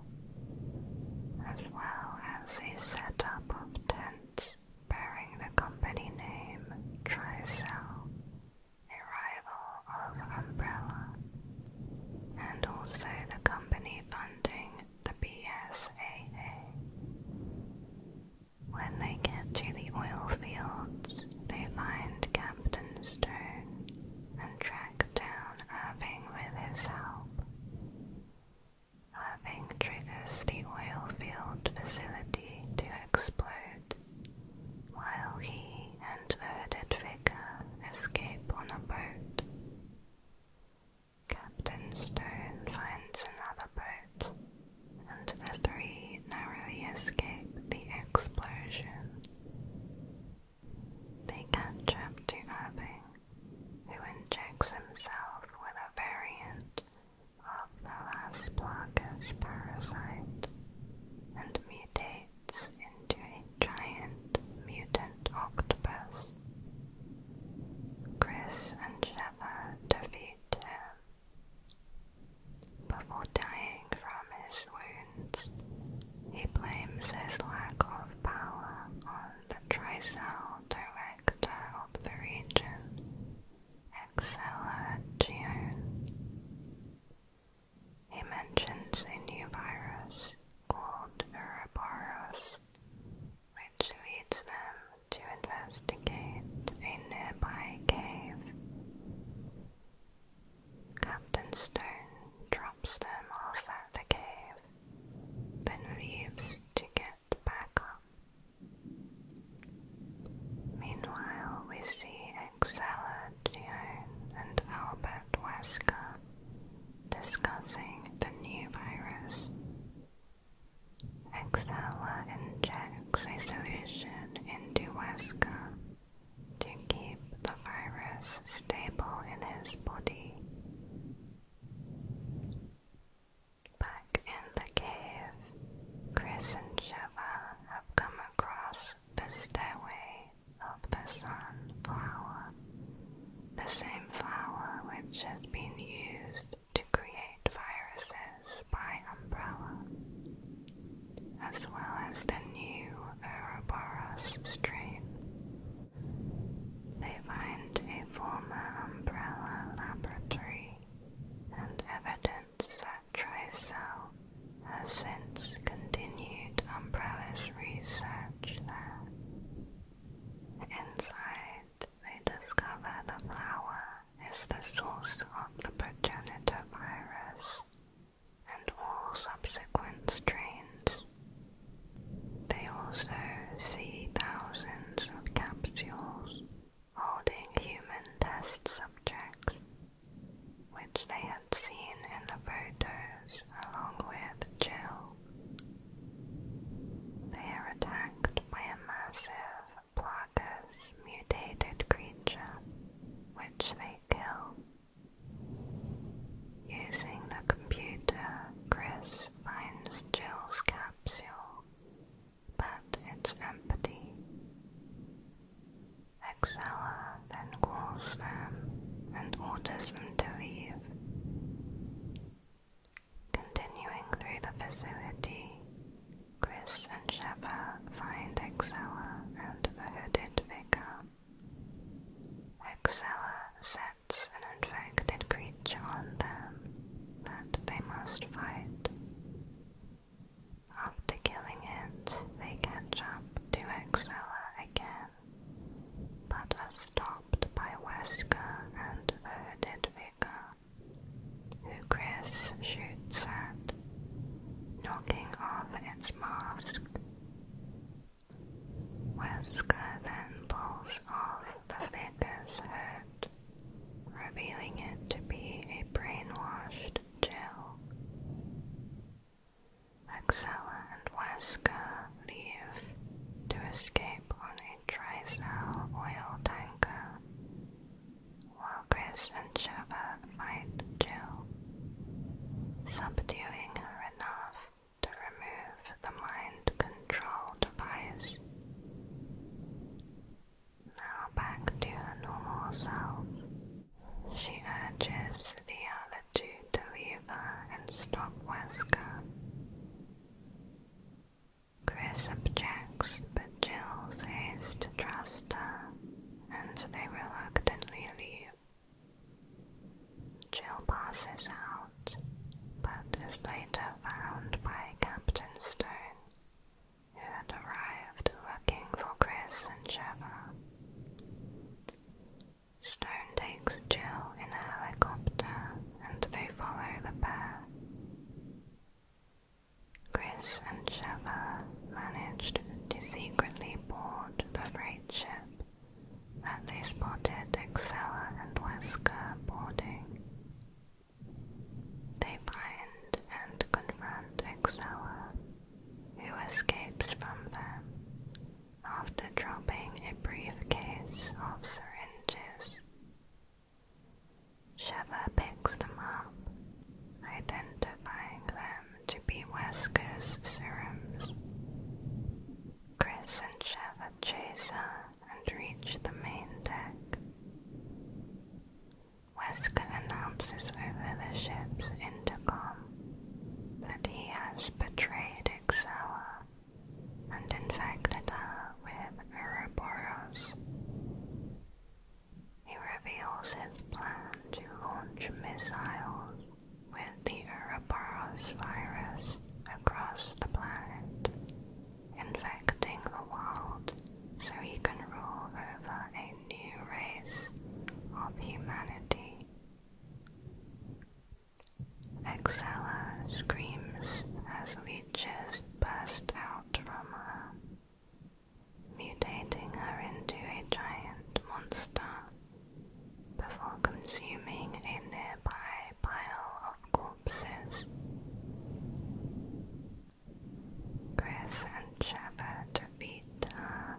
as well as a setup of tents bearing the company name Trisell, a rival of Umbrella, and also the company funding the BSAA. When they get to the oil fields, they find Captain Stone and track down Irving with his help. Irving triggers the oil field facility to explode, while he and the hooded figure escape on a boat. Captain Stone finds another boat, and the three narrowly escape the explosion. They catch who injects himself with a variant of the last Plagas parasite and mutates into a giant mutant octopus. Chris and Sheva defeat him. Before dying from his wounds, he blames his lack of power on the Trisal Director of the region, Exceleragione. He mentions a new virus called Ouroboros, which leads them to investigate a nearby cave. Captain Stone drops them off at the cave than leaves to get back up. Meanwhile, we see Exella Gion and Albert Wesker discussing the new virus. Exella injects a solution into Wesker to keep the virus stable in his body. Back in the cave, Chris and Shiva have come across the stairway of the sun the same flower which has been used to create viruses by Umbrella, as well as the new Ouroboros strain. They find a former umbrella laboratory and evidence that Trisell has since continued Umbrella's research there. Inside, they discover the flower is the source of the progenitor virus and all subsequent strains they also see thousands of capsules holding human test subjects, which they had seen in the photos along with Jill. They are attacked by a massive Plagas mutated creature, which they kill. Using the computer, Chris finds Jill's capsule, but it's empty. Excella then calls them and orders them to leave. Continuing through the facility, Chris and Sheva find Excella and the hooded figure. Excella sets rats an infected creature on them that they must fight. After killing it, they catch up to Excella again, but are stopped by Wesker and the hooded vicar, who Chris shoots at, knocking off its mask. Wesker then pulls off the figure's head, revealing it to be a brainwashed Jill. Axella and Wesker leave to escape on a tricell oil tanker, while Chris and Shiver fight Jill, subduing her enough to remove the mind control device. Now back to her normal self. She urges the other two to leave her and stop Wesker. Chris objects, but Jill says to trust her, and they reluctantly leave. Jill passes out, but is later found by Captain Stone, who had arrived looking for Chris and Trevor. Stone takes Jill in a helicopter and they follow the pair. Chris and Trevor managed to secretly board the freight ship and they spotted Excella and Wesker boarding. They find and confront Excella, who escapes from them after dropping a briefcase of syringes. Sheva picks them up, identifying them to be Wesker's serums. Chris and Sheva chase her and reach the main deck. Wesker announces over the ship's intercom that he has betrayed Excella and infected her with Ouroboros. He reveals his plan to launch missiles with the Ouroboros virus across the planet, infecting the world so he can rule over a new race of humanity. Excella screams as leeches burst out from her, mutating her into a giant monster before consuming a nearby pile of corpses. Chris and Shepard beat uh,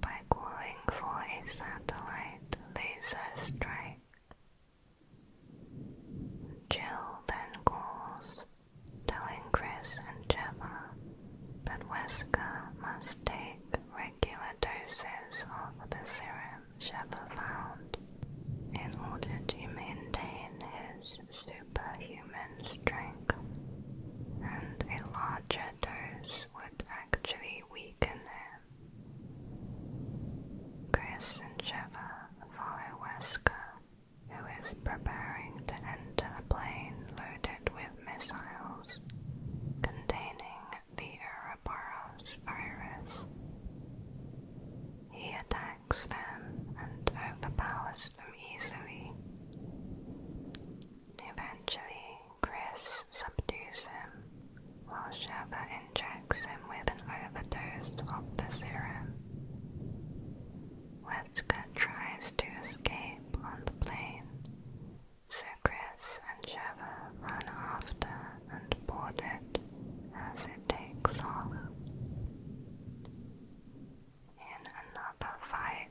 by calling for a satellite laser strike. Jill then calls, telling Chris and Gemma that Wesker must take regular doses of the serum. Sheva found in order to maintain his superhuman strength, and a larger dose would actually weaken him. Chris and Sheva follow Wesker, who is preparing to enter a plane loaded with missiles containing the Ouroboros virus. He attacks them and overpowers them easily. Eventually, Chris subdues him while Sheva injects him with an overdose of the serum. Wesker tries to escape on the plane, so Chris and Sheva run after and board it as it takes off. In another fight,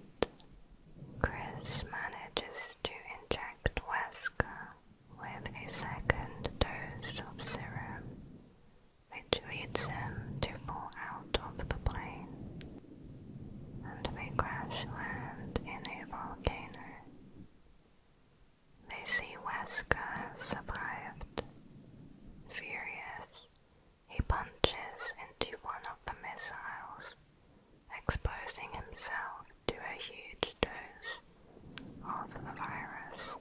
Chris manages to inject Wesker with a second dose of serum, which leads him to fall out of the plane, and they crash land in a volcano. They see Wesker survived. Furious, he punches into one of the missiles, exposing himself to a huge dose of the virus.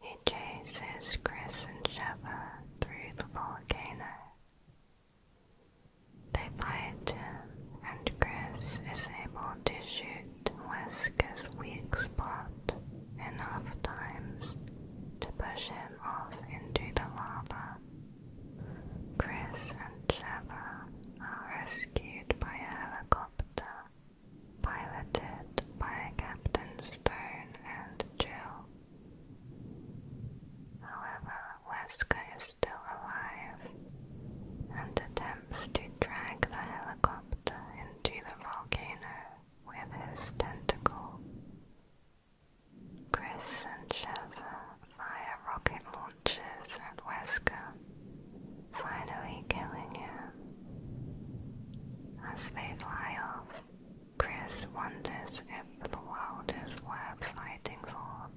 He chases Chris and Sheva through the volcano. They fight him, and Chris is able to shoot Wesker's weak spot enough times to push him off into the lava. Chris and Trevor are rescued by a helicopter piloted by Captain Stone and Jill. However, Wesker is still alive and determined attempts to drag the helicopter into the volcano with his tentacle. Chris and Sheva fire rocket launchers at Wesker, finally killing him. As they fly off, Chris wonders if the world is worth fighting for.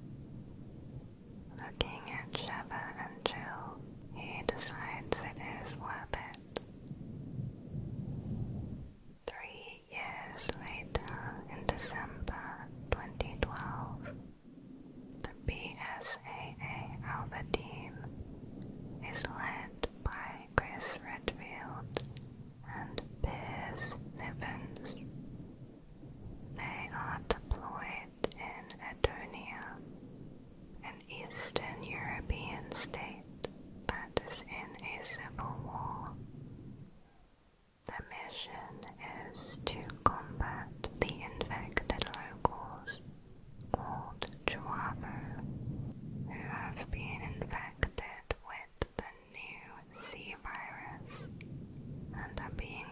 Looking at Sheva and Jill, he decides it is worth it. Three years later, in December 2012, the BSAA Alpha is led by Chris Redfield and Piers Nivens. They are deployed in Edonia an Eastern European state that is in a civil war. The mission is to combat the infected locals called Chuavo, who have been infected with the new C virus and are being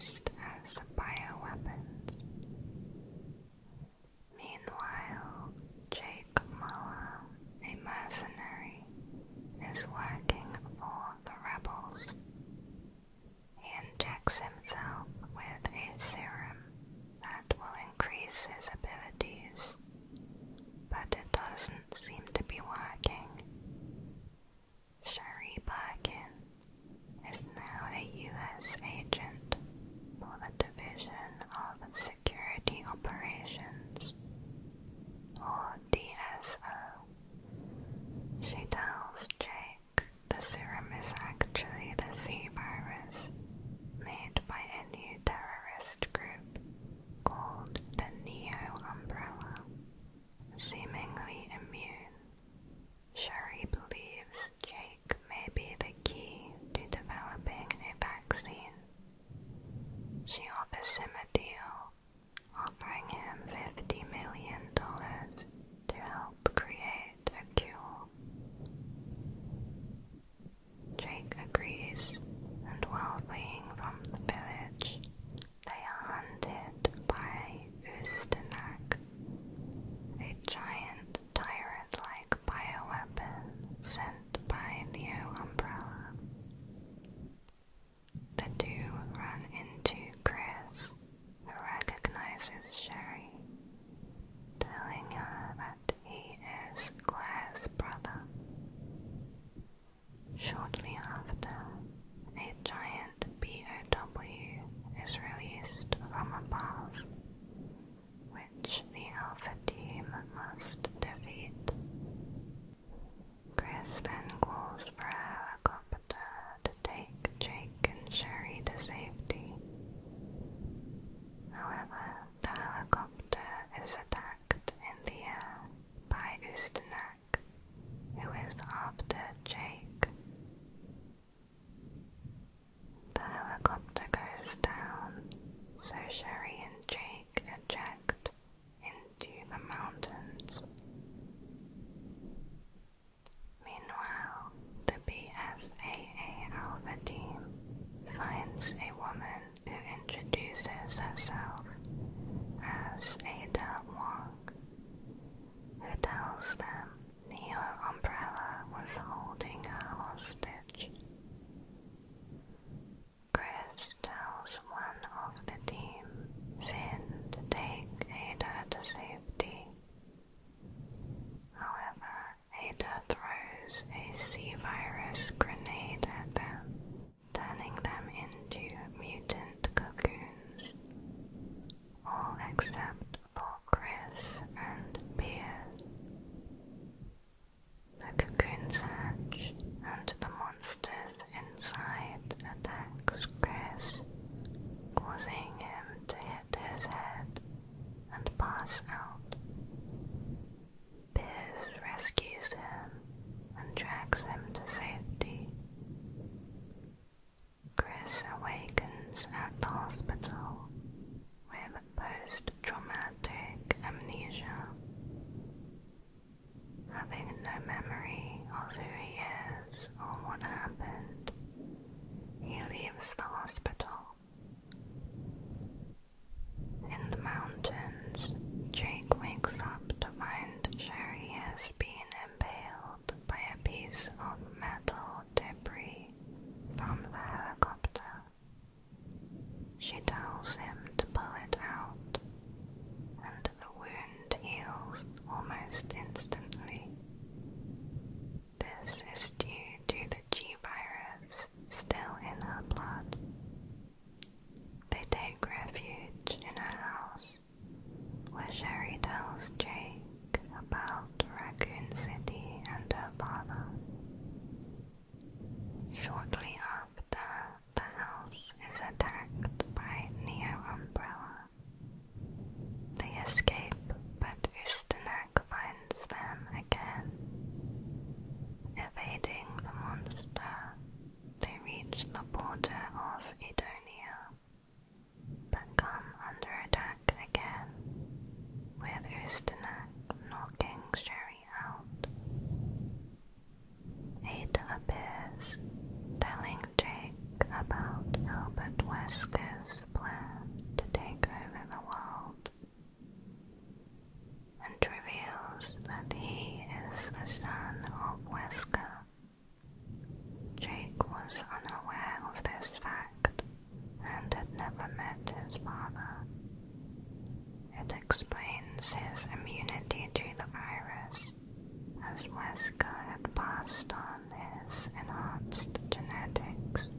used as bio bioweapons. Meanwhile, Jake Muller, a mercenary, is working for the rebels. He injects himself with a serum that will increase his abilities, but it doesn't seem to be working. Sherry Birkin is now a U.S. agent for the Division of Security Operations, or DSO. She tells Jake the serum is actually the Z virus made by a new terrorist group called the Neo Umbrella, seemingly immune. Sherry believes Jake may be the key to developing a vaccine. She offers him a deal, offering him $50 million to help create a cure. Jake agrees, and while fleeing from the village, they are hunted by Ustenak, a giant tyrant-like bioweapon sent by Neo Umbrella. The two run into Chris, who recognizes Sherry, telling her that he is Claire's brother. Shortly after, a giant POW is released from above, which the Alpha team must defeat. Chris then calls for a helicopter to take Jake and Sherry to safety. However, the helicopter is attacked in the air by Ustenek, who is after Jake. The helicopter goes down, so Sherry and Jake eject into the mountains. Meanwhile, the BSAA Alpha team finds a woman who introduces herself as Ada Wong, who tells them her umbrella was holding her hostage. Chris tells one of the team, Finn, take Ada to safety. However, Ada throws a sea virus grenade at them, turning them into mutant cocoons. All except Chris and Beers. The cocoon hatch and the monsters inside attacks Chris, causing him to hit his head and pass out. Beers rescues him and drags him to safety. Chris awakens at the hospital with post-traumatic amnesia, having no memory of who he is or what happened. He leaves the hospital. In the mountains, Jake wakes up to find Sherry has been impaled by a piece of metal debris from the helicopter. She tells him to pull it out, and the wound heals almost instantly. This is due to the G virus still in her blood. They take refuge in a house, where Sherry tells Jay about Raccoon City and her father. Shortly after, the house is attacked by Neo Umbrella. They escape, but Ustinak finds them again. Evading the monster, they reach the border of Edonia, but come under attack back again, with Ustinak knocking Sherry out. Ada appears, telling Jake about Albert Wesker's plan to take over the world, and reveals that he is the son of Wesker. Jake was unaware of this fact and had never met his father. It explains his immunity to the virus, as Wesker had passed on his enhanced genetics.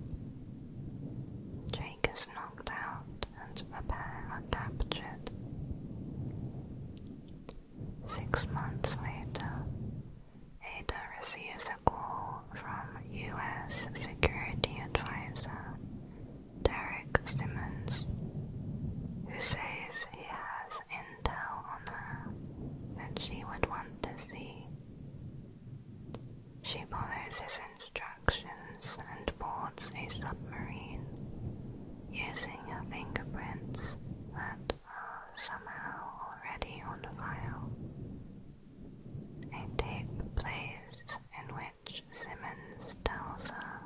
Jake is knocked out and the pair are captured. Six months later, Ada receives article from U.S. Security Advisor Derek Simmons, who says he has intel on her that she would want to see. She follows his instructions and boards a submarine using her fingerprints that are somehow already on file a tape plays in which Simmons tells her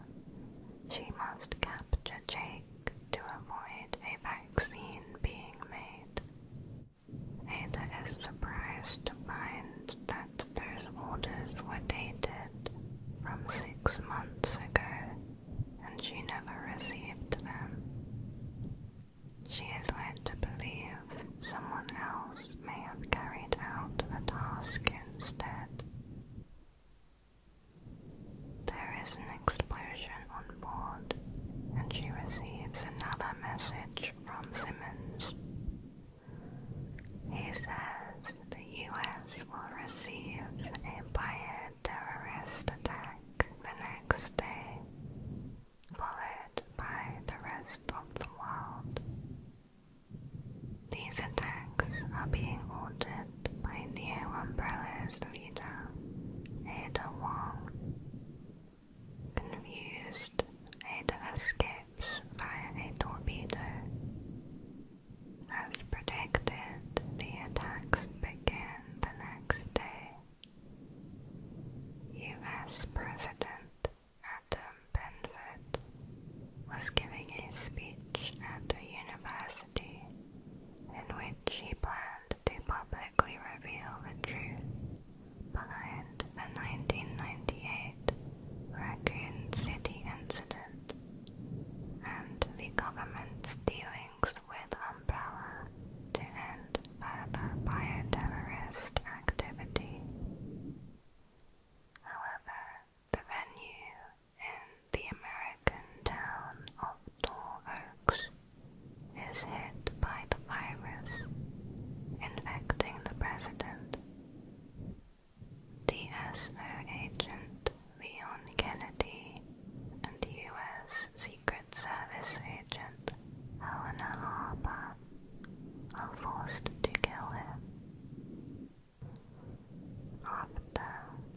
she must capture Jake to avoid a vaccine being made. Ada is surprised to find that those orders were dated from six months ago and she never received them. She is led to believe someone else may have carried out the task instead. There is an explosion on board, and she receives another message from Simmons. He says the US will receive an a terrorist attack the next day followed by the rest of the world. These attacks are being ordered by Neo Umbrella's leader, Ada Wong. Confused, Ada escapes via a torpedo. As predicted, the attacks begin the next day. US President Adam Benford was giving a speech at the university in which he planned to publicly reveal the truth behind the 1998 Raccoon City incident and the government's dealings with Umbrella to end further bioterrorist activity. However, the venue in the American town of Tall Oaks is hit by the virus, infecting the president. DSO agent Leon Kennedy and U.S. Secret Service agent Helena Harper are forced to kill him. After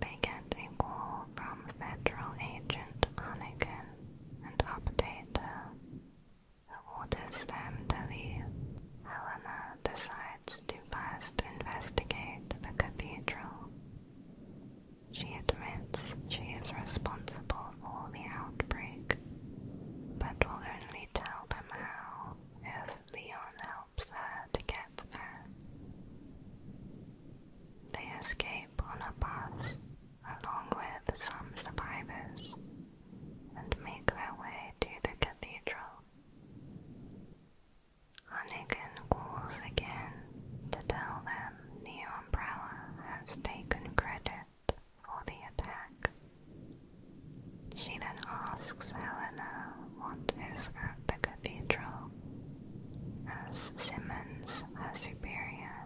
they get a call from Federal Agent Anakin and update her, who orders them to leave, Helena decides to first investigate the cathedral. She admits she is responsible for the outbreak but will only tell them how if Leon helps her to get there. They escape on a bus along with some survivors and make their way to the cathedral. Hunnigan calls again to tell them the Umbrella has taken credit for the attack. She then asks Helena what is at the cathedral, as Simmons, her superior,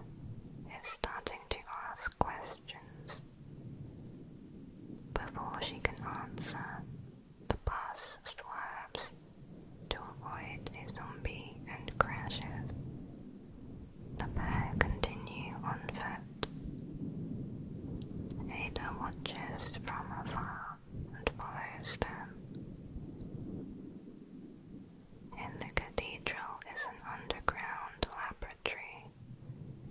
is starting to ask questions. Before she can answer, the bus swerves to avoid a zombie and crashes. The pair continue on foot. Ada watches from afar and follows them. In the cathedral is an underground laboratory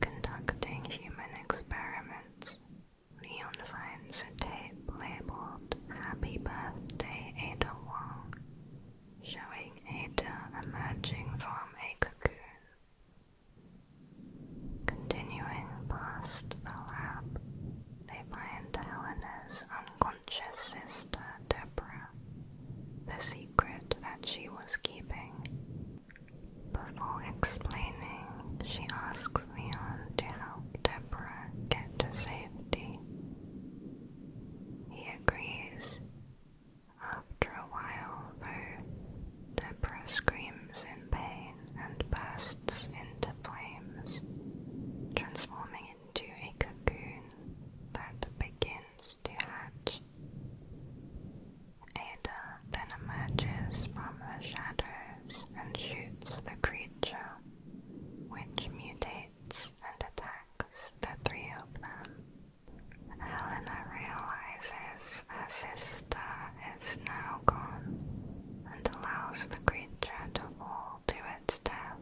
conducting human experiments. Leon finds a tape labeled Happy Birthday Ada Wong, showing Ada emerging from a cocoon. Continuing past the lab, they find Helena's unconscious sister, Deborah, the secret that she was keeping. Before explaining, she asks Leon to help Deborah get to safety. He agrees, after a while, though, Deborah screams in pain and bursts into flames, transforming into a cocoon that begins to hatch. Ada then emerges from the shadows and shoots the creature, which mutates and attacks the three of them. Helena realizes her sister is now gone and allows the creature to fall to its death.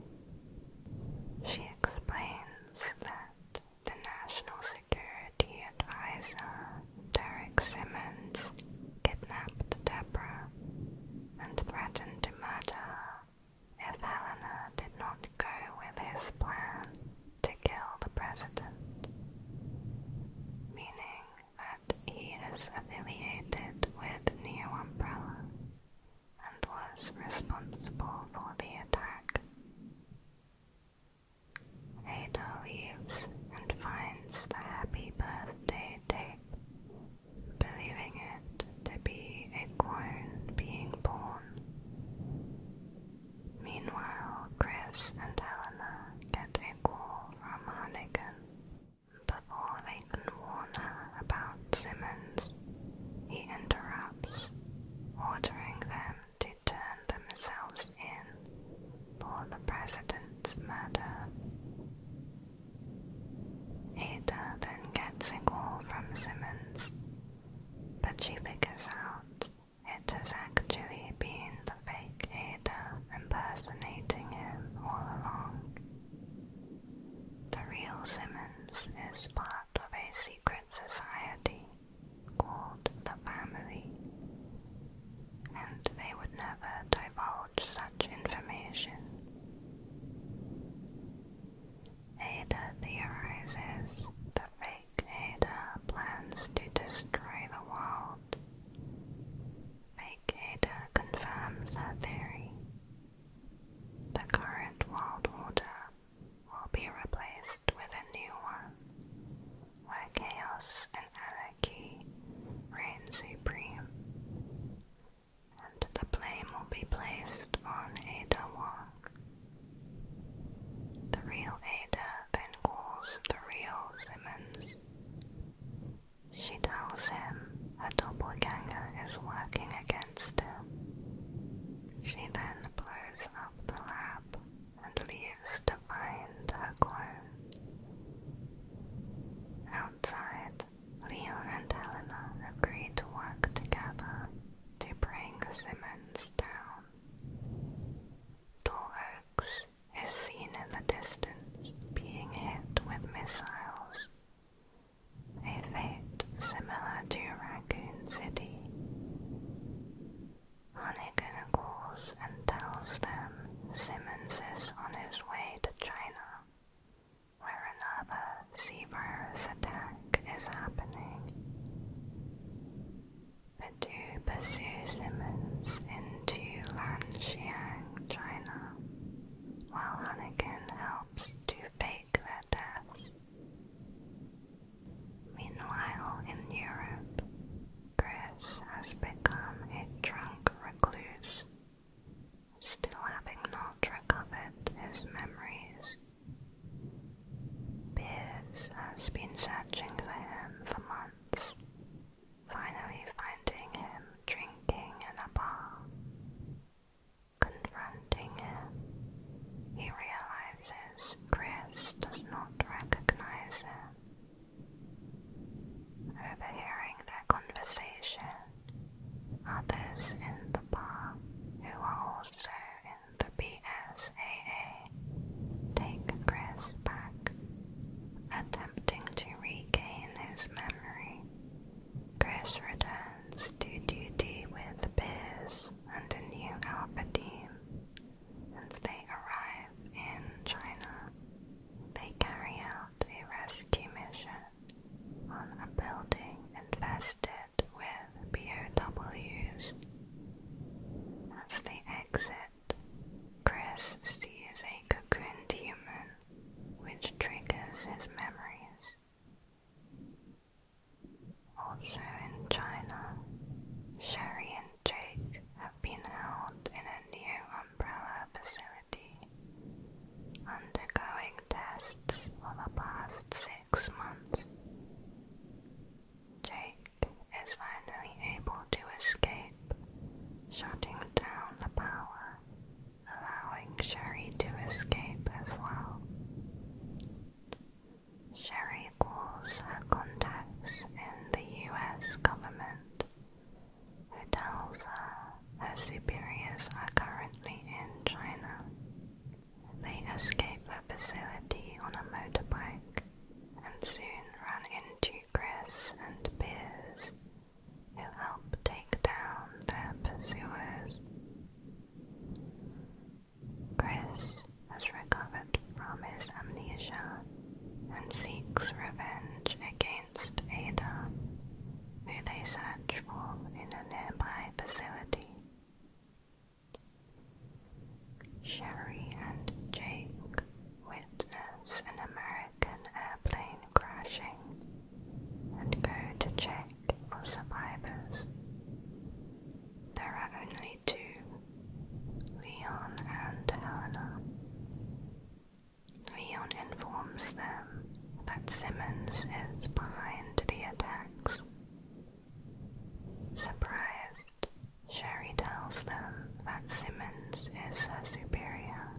She explains that the National Security Advisor, Derek Simmons, kidnapped Deborah and threatened to murder if Helena did not go with his plan to kill the president, meaning that he is affiliated with Neo Umbrella and was responsible for the attack. Ada leaves and finds the happy birthday tape, believing it to be a clone being born. Meanwhile, Chris and Helena get a call from Hannigan. Before they can warn her about Simmons, he interrupts, ordering them to turn themselves in for the president's murder. Ada then gets a call from Simmons, but she figures out it has actually been the fake Ada impersonating him all along. The real Simmons is part of a secret society called the Family, and they would never divulge such information. Ada theorizes the fake Vacator plans to destroy the world. Vacator confirms her theory. The current world order will be replaced with a new one, where chaos and anarchy reign supreme, and the blame will be placed on Ada Wong. The real Ada calls the real Simmons. She tells him a double doppelganger is working against him. She then blows up the lab and leaves to find her clone. Outside, Leo and Helena agree to work together to bring Simmons down. Door is seen in the distance being hit with missiles. A fate similar to Raccoon City. Hannigan calls and tells them Simmons is on his way to China, where another sea attack is happening. Badu pursues Simmons into Lanxiang, China, while Hannigan helps to fake their deaths. Meanwhile, in Europe, Chris has become a drunk recluse, still having not recovered his memories. Piers has been searching for him for months finally finding him drinking in a bar. Confronting him, he realizes Chris does not recognize him. Overhearing their conversation, others in the bar who are also in the BSAA take Chris back. Attempting to regain his memory, Chris returns to duty with Piers and a new Alpha team, and they arrive in China. They carry out a rescue mission on a building infested with POWs. As they exit it, Chris sees a cocooned human, which triggers his memories. Also in China, Sherry and Jake have been held in a new Umbrella facility, undergoing tests for the past six months. Jake is finally able to escape, shutting down the power, allowing Sherry to escape as well. Sherry calls her contacts in the US government, who tells her her superiors are currently in China. They escape the facility on a motorbike and soon run into Chris and Piers, who help take down their pursuers. Chris has recovered from his amnesia and seeks revenge against Ada, who they search for in a nearby facility. Sherry and Jake witness an American airplane crashing and go to check for survivors. There are only two, Leon and Helena. Leon informs them that Simmons is behind the attacks. Surprised, Sherry tells them that Simmons is her superior.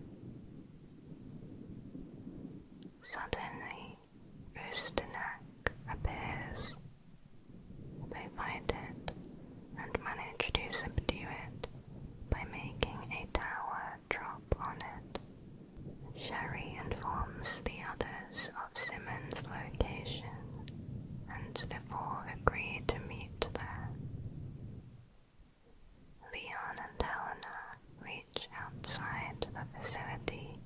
Suddenly, Usternak appears. They fight it and manage to subdue it by making a tower drop on it. Sherry informs the others of Simmons' location, and the four agree to meet there. Leon and Helena reach outside the facility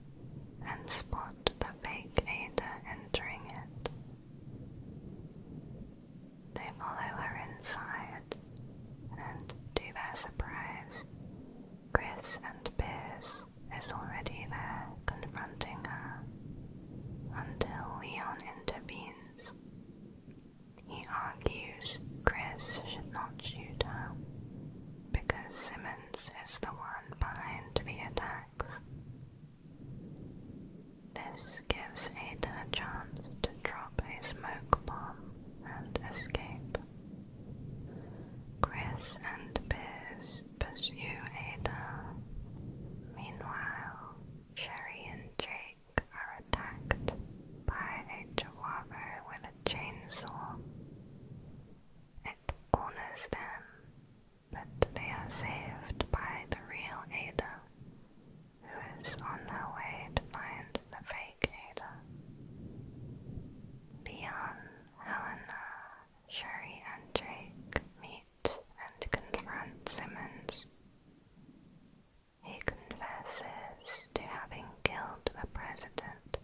and spot the fake Ada entering it. They follow her inside, and to their surprise, Chris and Pierce is already there confronting her until Leon intervenes. He argues Chris should not shoot her because Simmons is the one behind the attacks. This gives Ada a chance to drop a smoke bomb and escape. Chris and Biz pursue Ada. Meanwhile, Sherry and Drake are attacked by a Chihuahua with a chainsaw. It corners them, but they are saved by the real Ada, who is on her way to find the fake Ada. Leon, Helena, Sherry, and Jake meet and confront Simmons. He confesses to having killed the president,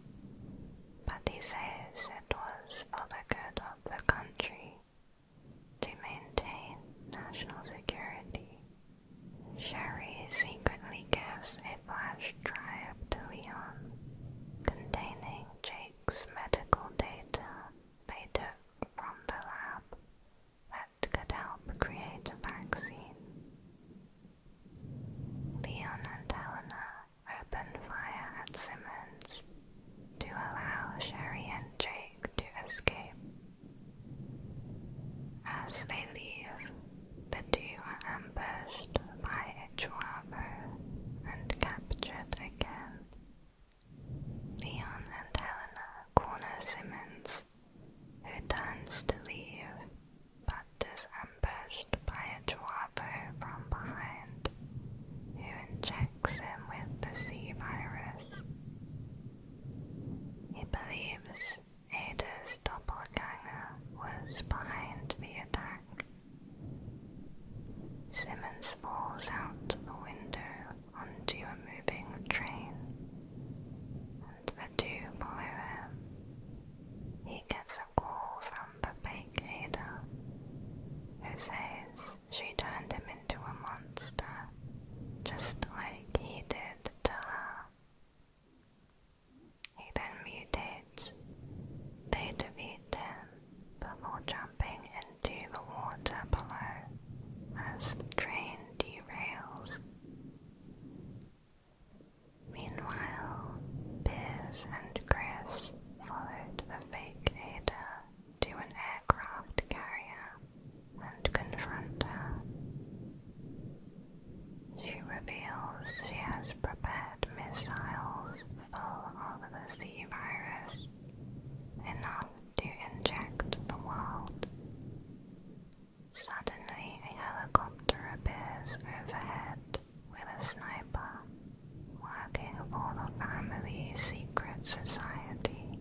but he says it was for the good of the country to maintain national security. Sherry secretly gives a flash drive to Leon containing Jake's medical data they took from the lab that could help create a vaccine. Leon and Helena opened fire at Simmons to allow Sherry and Jake to escape. As they leave, the two ambushed by Ichwabo and captured again Leon and Helena corner Simmons, who turns to leave but is ambushed by a Chuapo from behind, who injects him with the Sea virus. He believes Ada's doppelganger was behind the attack. Simmons falls out the window onto a moving train, and the two follow him. He gets a call from the fake lady. who says she turned him into a monster, just like he did to her. He then mutates. They defeat him before jumping into the water below as the train derails. Meanwhile, Piers and Chris followed the fake Ada to an aircraft carrier and confront her. She reveals she has prepared missiles full of the sea virus, enough to inject the world. Suddenly, a helicopter appears overhead with a sniper, working for the family secret society.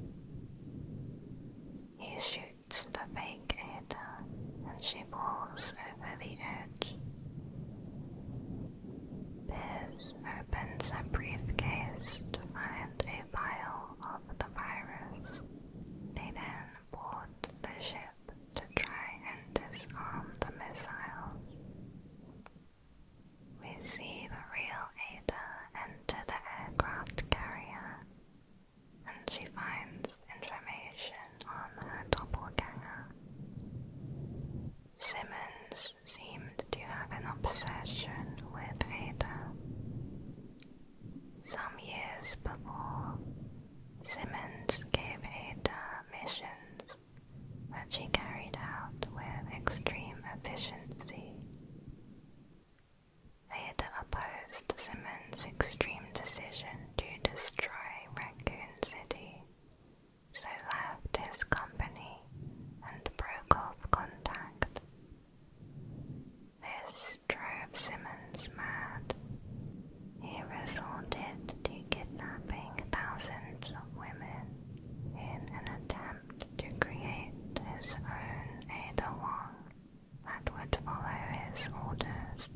He shoots the fake Ada, and she falls over the edge. Piers opens a briefcase to find a vial of the virus. They then board the ship to try and disarm the missiles. We see the real Ada enter the aircraft carrier, and she finds information on her doppelganger. Simmons seemed to have an obsession with Ada. Some years before, Simmons gave Ada missions that she carried out with extreme efficiency. Ada opposed Simmons' extreme decision to destroy Raccoon City, so left his company and broke off contact. This this drove Simmons mad. He resorted to kidnapping thousands of women in an attempt to create his own Ada Wong that would follow his orders.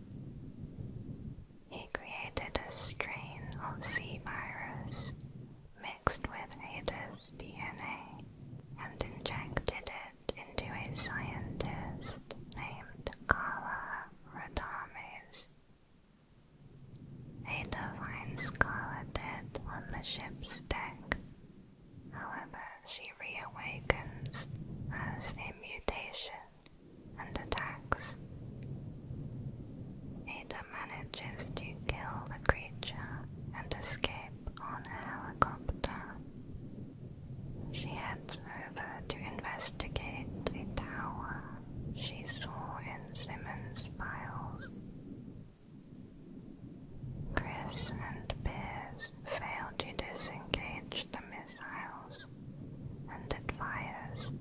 He created a strain of C virus mixed with Ada's DNA and injected it into a scientist named Kala Radames. A divine scholar dead on the ship's deck. However, she reawakens as a mutation and attacks. Ada manages to kill the creature and escape on a helicopter, she heads over to investigate the tower she saw in Simmons' files. Chris and Piers fail to disengage the missiles, and it fires,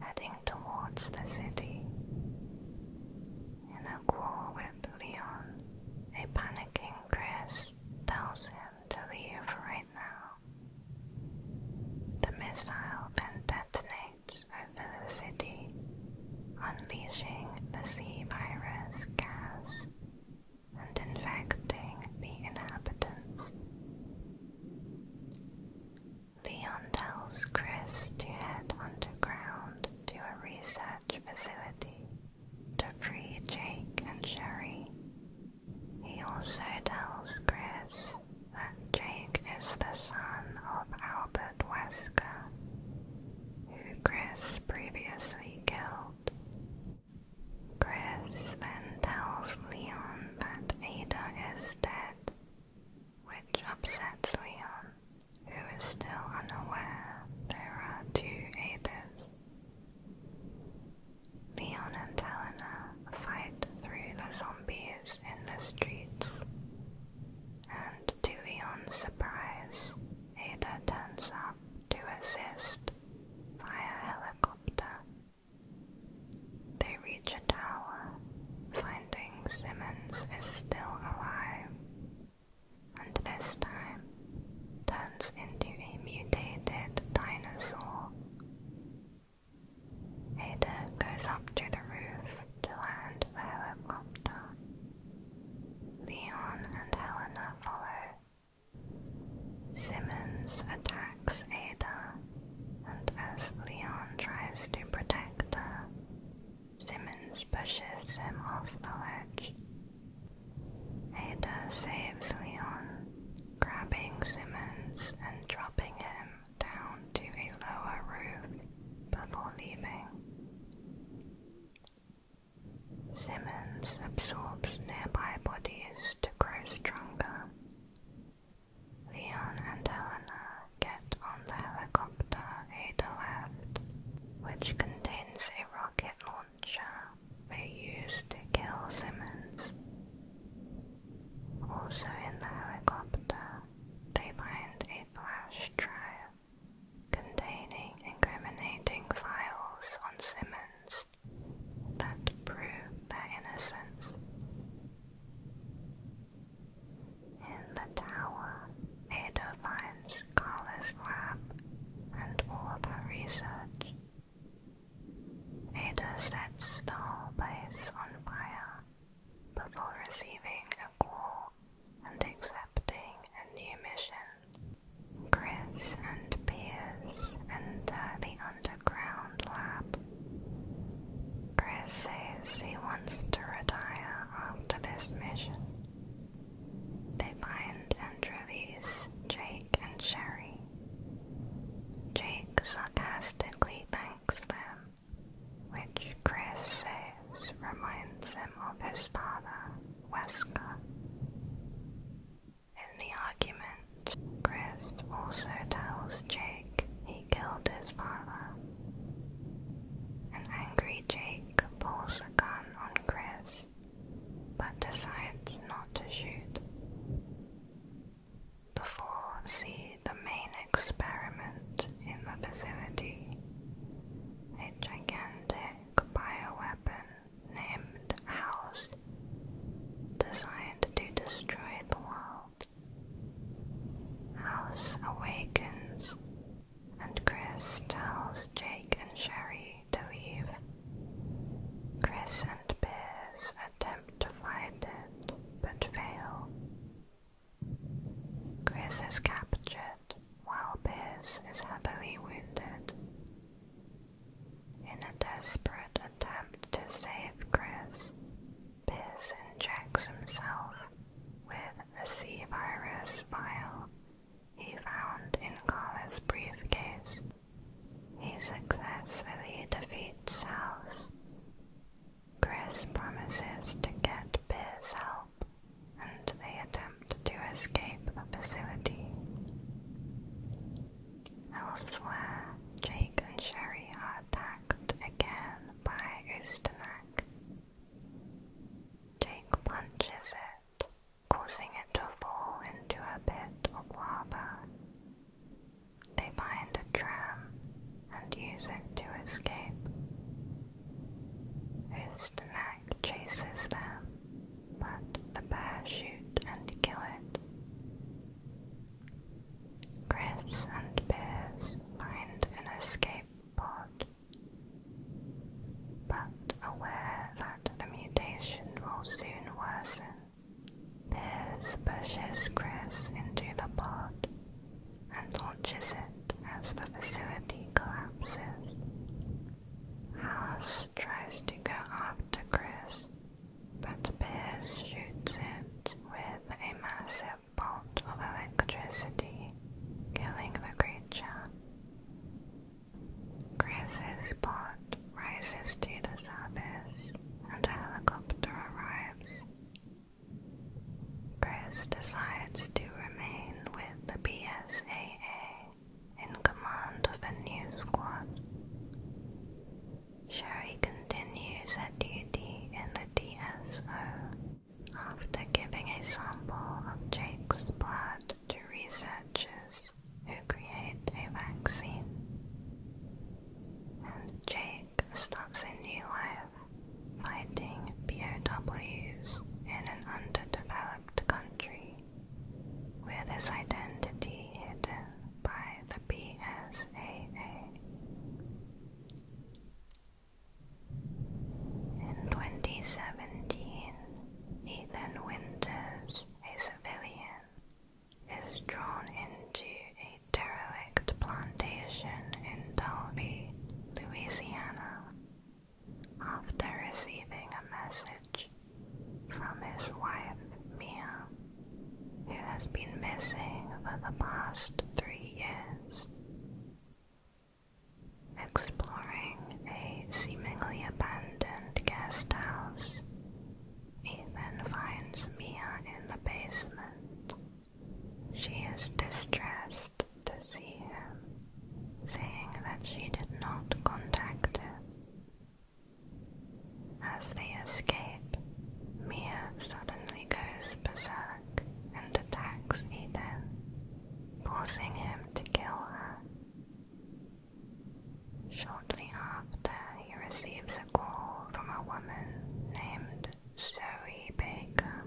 heading towards the city. In a quarrel with Leon, a panicking Chris tells him to leave right now. The missile detonates over the city, unleashing the sea virus gas and infecting the inhabitants. Leon tells Chris to head underground to a research facility to free Jake and Sherry. He also tells Chris that Jake is the son of Albert Wesker, who Chris previously killed. Chris then tells Leon that Ada is dead, which upsets Leon, who is still unaware there are two Adas. Leon and Helena fight through the zombies in the streets, and to Leon's surprise, Ada turns up to assist via helicopter. They reach a tower, finding Simmons is still alive and this time turns into a mutated dinosaur. Ada uh, goes up to the roof to land the helicopter. Leon and Helena follow. Simmons attacks Ada, and as Leon tries to protect her, Simmons pushes him off the ledge. Ada saves Leon, grabbing Simmons and dropping him down to a lower roof before leaving. Simmons absorbs nearby bodies to grow stronger. Leon and Helena get on the helicopter Ada left, which contains a rocket launcher they used to kill Simmons. Also in the helicopter, they find a flash drive containing incriminating files on Simmons that prove their innocence. In the tower, Ada finds Scala's lab and all of her research. Ada sets the whole base on fire before receiving a call and accepting a new mission. Chris and Piers enter the underground lab. Chris says he wants to retire after this mission. They find and release Jay and Sherry. Jake sarcastically thanks them, which Chris says reminds him of his father, Wesker. In the argument, Chris also tells Jake he killed his father. An angry Jake pulls a gun on Chris but decides not to shoot. The four see the main experiment in the facility, a gigantic bioweapon named House, designed to destroy the world. House awakens, and Chris tells Jake and Sherry to leave. Chris and Piers attempt to find it, but fail. Chris is captured, while Piers is happily wounded. In a desperate attempt to save Chris, Piers injects himself with a C-virus vial he found in Kala's briefcase. He successfully defeats House. Chris promises to get Beer's help, and they attempt to escape the facility. Elsewhere, Jake and Sherry are attacked again by Ustenak. Jake punches it, causing it to fall into a pit of lava. They find a tram and use it to escape. Ustanak chases them, but the bears shoot and kill it. Chris and Piers find an escape pod, but aware that the mutation will soon worsen. Piers pushes Chris into the pod and launches it as the facility collapses. House tries to go after Chris, but Piers shoots it with a massive bolt of electricity, killing the creature. Chris's blood rises to the surface and a helicopter arrives. Chris decides to remain with the BSAA in command of a new squad. Sherry continues her duty in the DSO after giving a sample of Jake's blood to researchers who create a vaccine, Jake starts a new life fighting POWs in an underdeveloped country with his identity hidden by the PSAA. In 2017, Ethan Winters, a civilian is drawn into a derelict plantation in Dalby, Louisiana, after receiving a message from his wife Mia, who has been missing for the past three years. Exploring a seemingly abandoned guest house he then finds Mia in the basement. She is distressed to see him, saying that she did not contact him. As they escape, Mia suddenly goes berserk and attacks Ethan, forcing him to kill her. Shortly after, he receives a call from a woman named Zoe Baker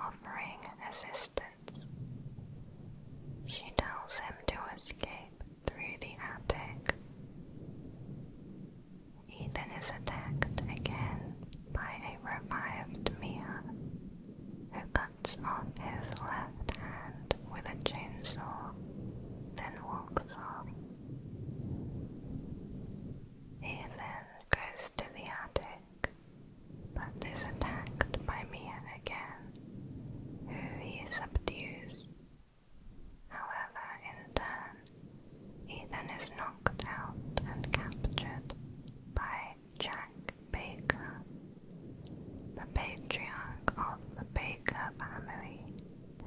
offering assistance. She tells him to escape through the attic. Ethan is attacked again by a revived Mia who cuts off his left hand with a chainsaw, then walks off. He then goes to the attic, but is attacked by Mia again, who he subdues. However, in turn, he then is knocked out and captured by Jack Baker, the patriarch of the Baker family.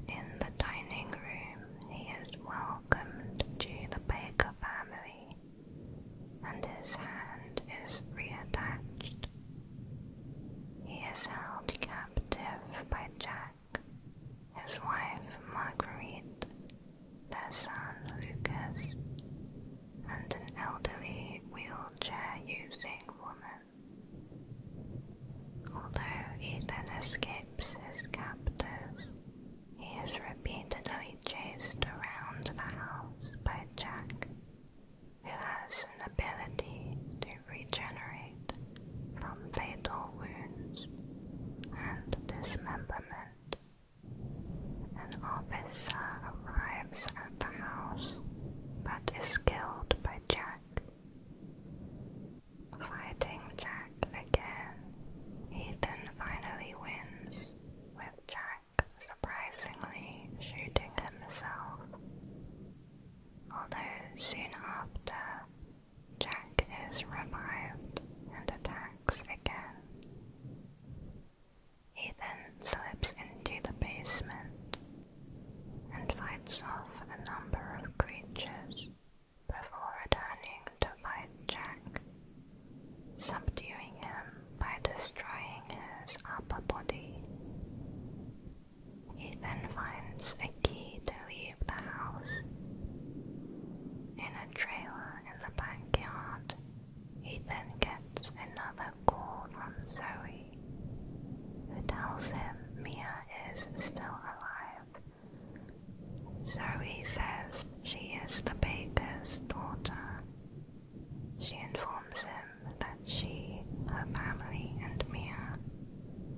In the dining room, he is welcomed to the Baker family, and his hand is reattached. He is held captive by Jack, his wife Marguerite, their son Lucas, and an elderly wheelchair using woman. Although then escapes his captors, he is repeatedly chased around the house by Jack, who has an ability to regenerate from fatal wounds and dismemberment. An officer arrives at the house but is killed by Jack Fighting Jack again, Ethan finally wins, with Jack surprisingly shooting himself. Although soon after, Jack is revived and attacks again. Ethan slips into the basement and fights off a number of creatures before returning to fight Jack, subduing him by destroying his upper body. He then finds a key to leave the house. In a trailer in the backyard, he then gets another call from Zoe. Henry, who tells him Mia is still alive. Zoe says she is the baker's daughter. She informs him that she, her family, and Mia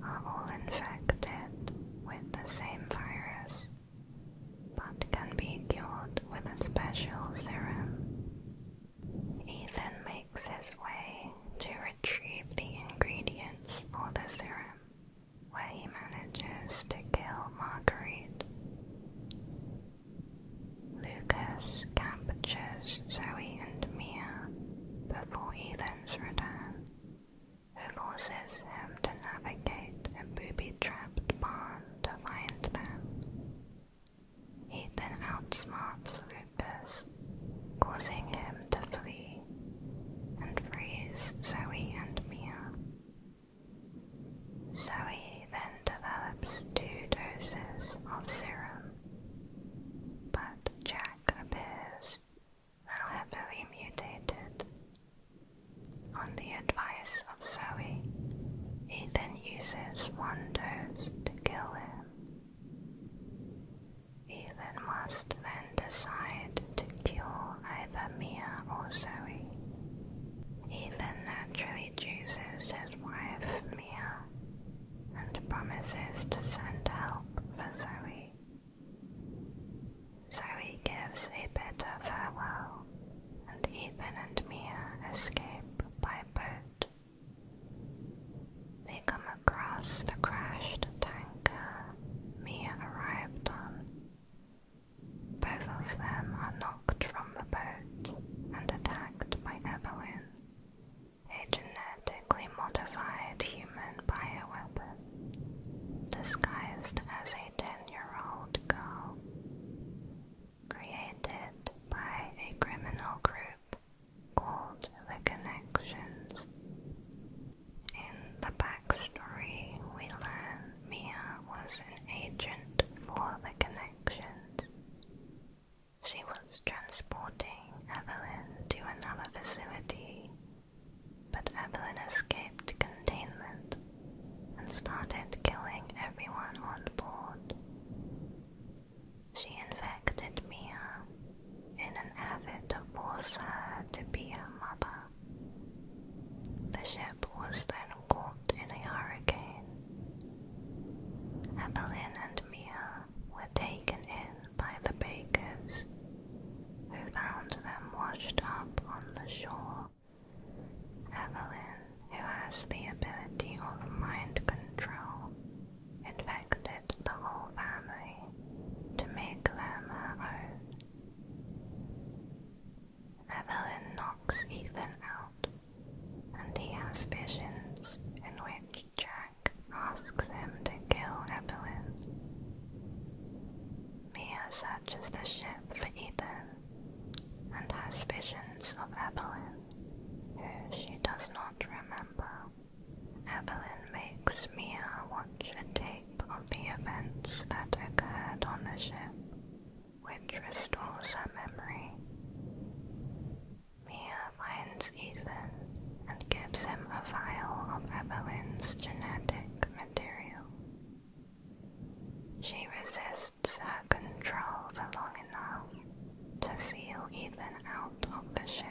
are all infected with the same virus, but can be cured with a special serum. Ethan makes his way to retrieve the ingredients for the serum, where he manages to kill Marguerite. Lucas captures Zoe and Mia before Ethan's return, who forces him to navigate a booby-trapped barn to find them. Ethan outsmarts troopers, causing him to flee and freeze Zoe and Mia. Zoe then develops two doses of serum, but Jack appears heavily mutated. On the advice of Zoe, Ethan uses one dose to kill him. Even must then decide to cure either Mia or Zoe. Ethan naturally chooses his wife, Mia, and promises to send help for Zoe. Zoe gives a bitter farewell, and Ethan and Mia escape by boat they come across the crashed tanker Mia arrived on. Both of them are knocked from the boat and attacked by Evelyn, a genetically modified human bio weapon disguised as a 10-year-old girl. Created by a criminal group called The Connections. In the backstory, we learn Mia was an agent for The Connections. She was transporting Evelyn to another facility, but Evelyn escaped containment and started killing everyone on board. She infected Mia uh, and an effort to force her to be her mother. The ship was then caught in a hurricane. Evelyn and Mia were taken in by the bakers, who found them washed up on the shore. Evelyn, who has the ability of mind control, infected the whole family to make them her Evelyn knocks Ethan out, and he has visions in which Jack asks him to kill Evelyn. Mia searches the ship for Ethan and has visions of Evelyn, who she does not remember. Evelyn makes Mia uh, watch a tape of the events that occurred on the ship, which restores her memory. Mia finds Ethan and gives him a vial of Evelyn's genetic material. She resists her control for long enough to steal Ethan out of the ship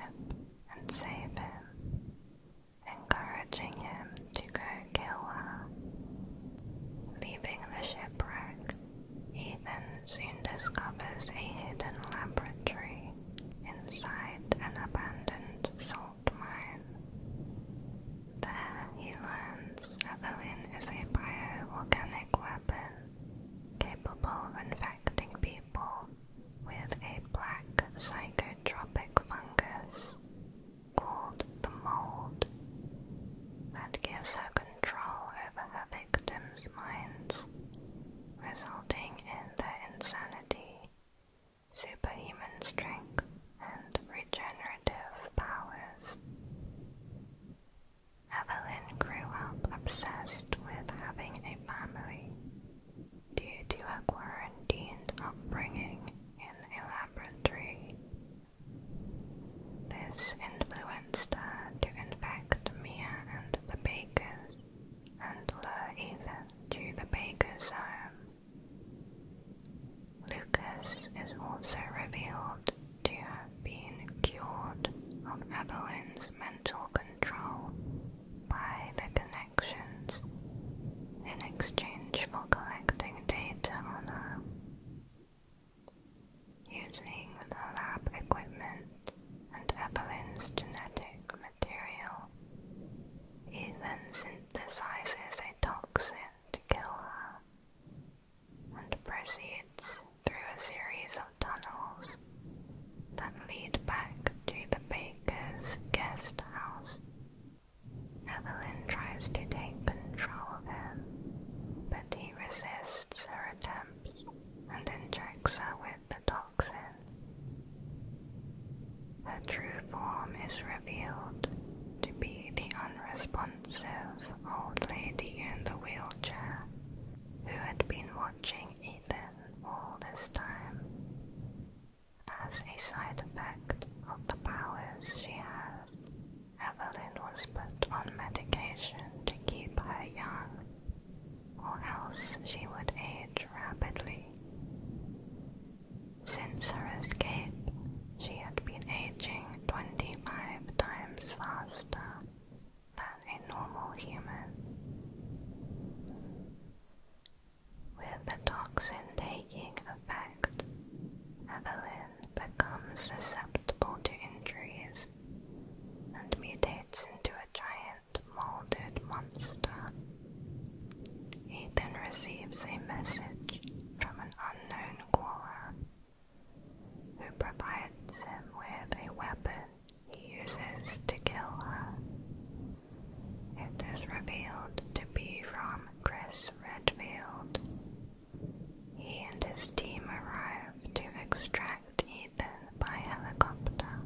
and save him, encouraging him to go kill her. Leaving the shipwreck, Ethan soon discovers a hidden laboratory inside an abandoned salt mine. There he learns Evelyn is a bioorganic weapon capable of infecting people with a black psychotropic fungus called the mold that gives her control over her victims' minds, resulting in their insanity, superhuman strength, and regenerative powers. Evelyn grew up obsessed with having a family due to a quarantined upbringing in the laboratory. This influenced her to infect Mia and the bakers and lure to the baker's home. Lucas is also revealed to have been cured of Evelyn's mental control by the connections in exchange for collecting data on her. Using the lab equipment and Evelyn's genetic material, even synthesizes a toxin to kill her and proceeds through a series of tunnels that lead back to the baker's guest house. Evelyn tries to take control of him, but he resists her attempts and injects her with the toxin. Her true form is revealed to be the unresponsive old lady in the wheelchair who had been watching Ethan all this time. As a side effect of the powers she had, Evelyn was put on medication to keep her young, or else she would age rapidly. Since her escape, she had been aging 25 times faster than a normal human. With the toxin taking effect, Evelyn becomes susceptible to injuries and mutates into a giant molded monster. Ethan receives a message from an unknown caller who provides him with a weapon he uses to kill her. It is revealed to be from Chris Redfield. He and his team arrive to extract Ethan by helicopter.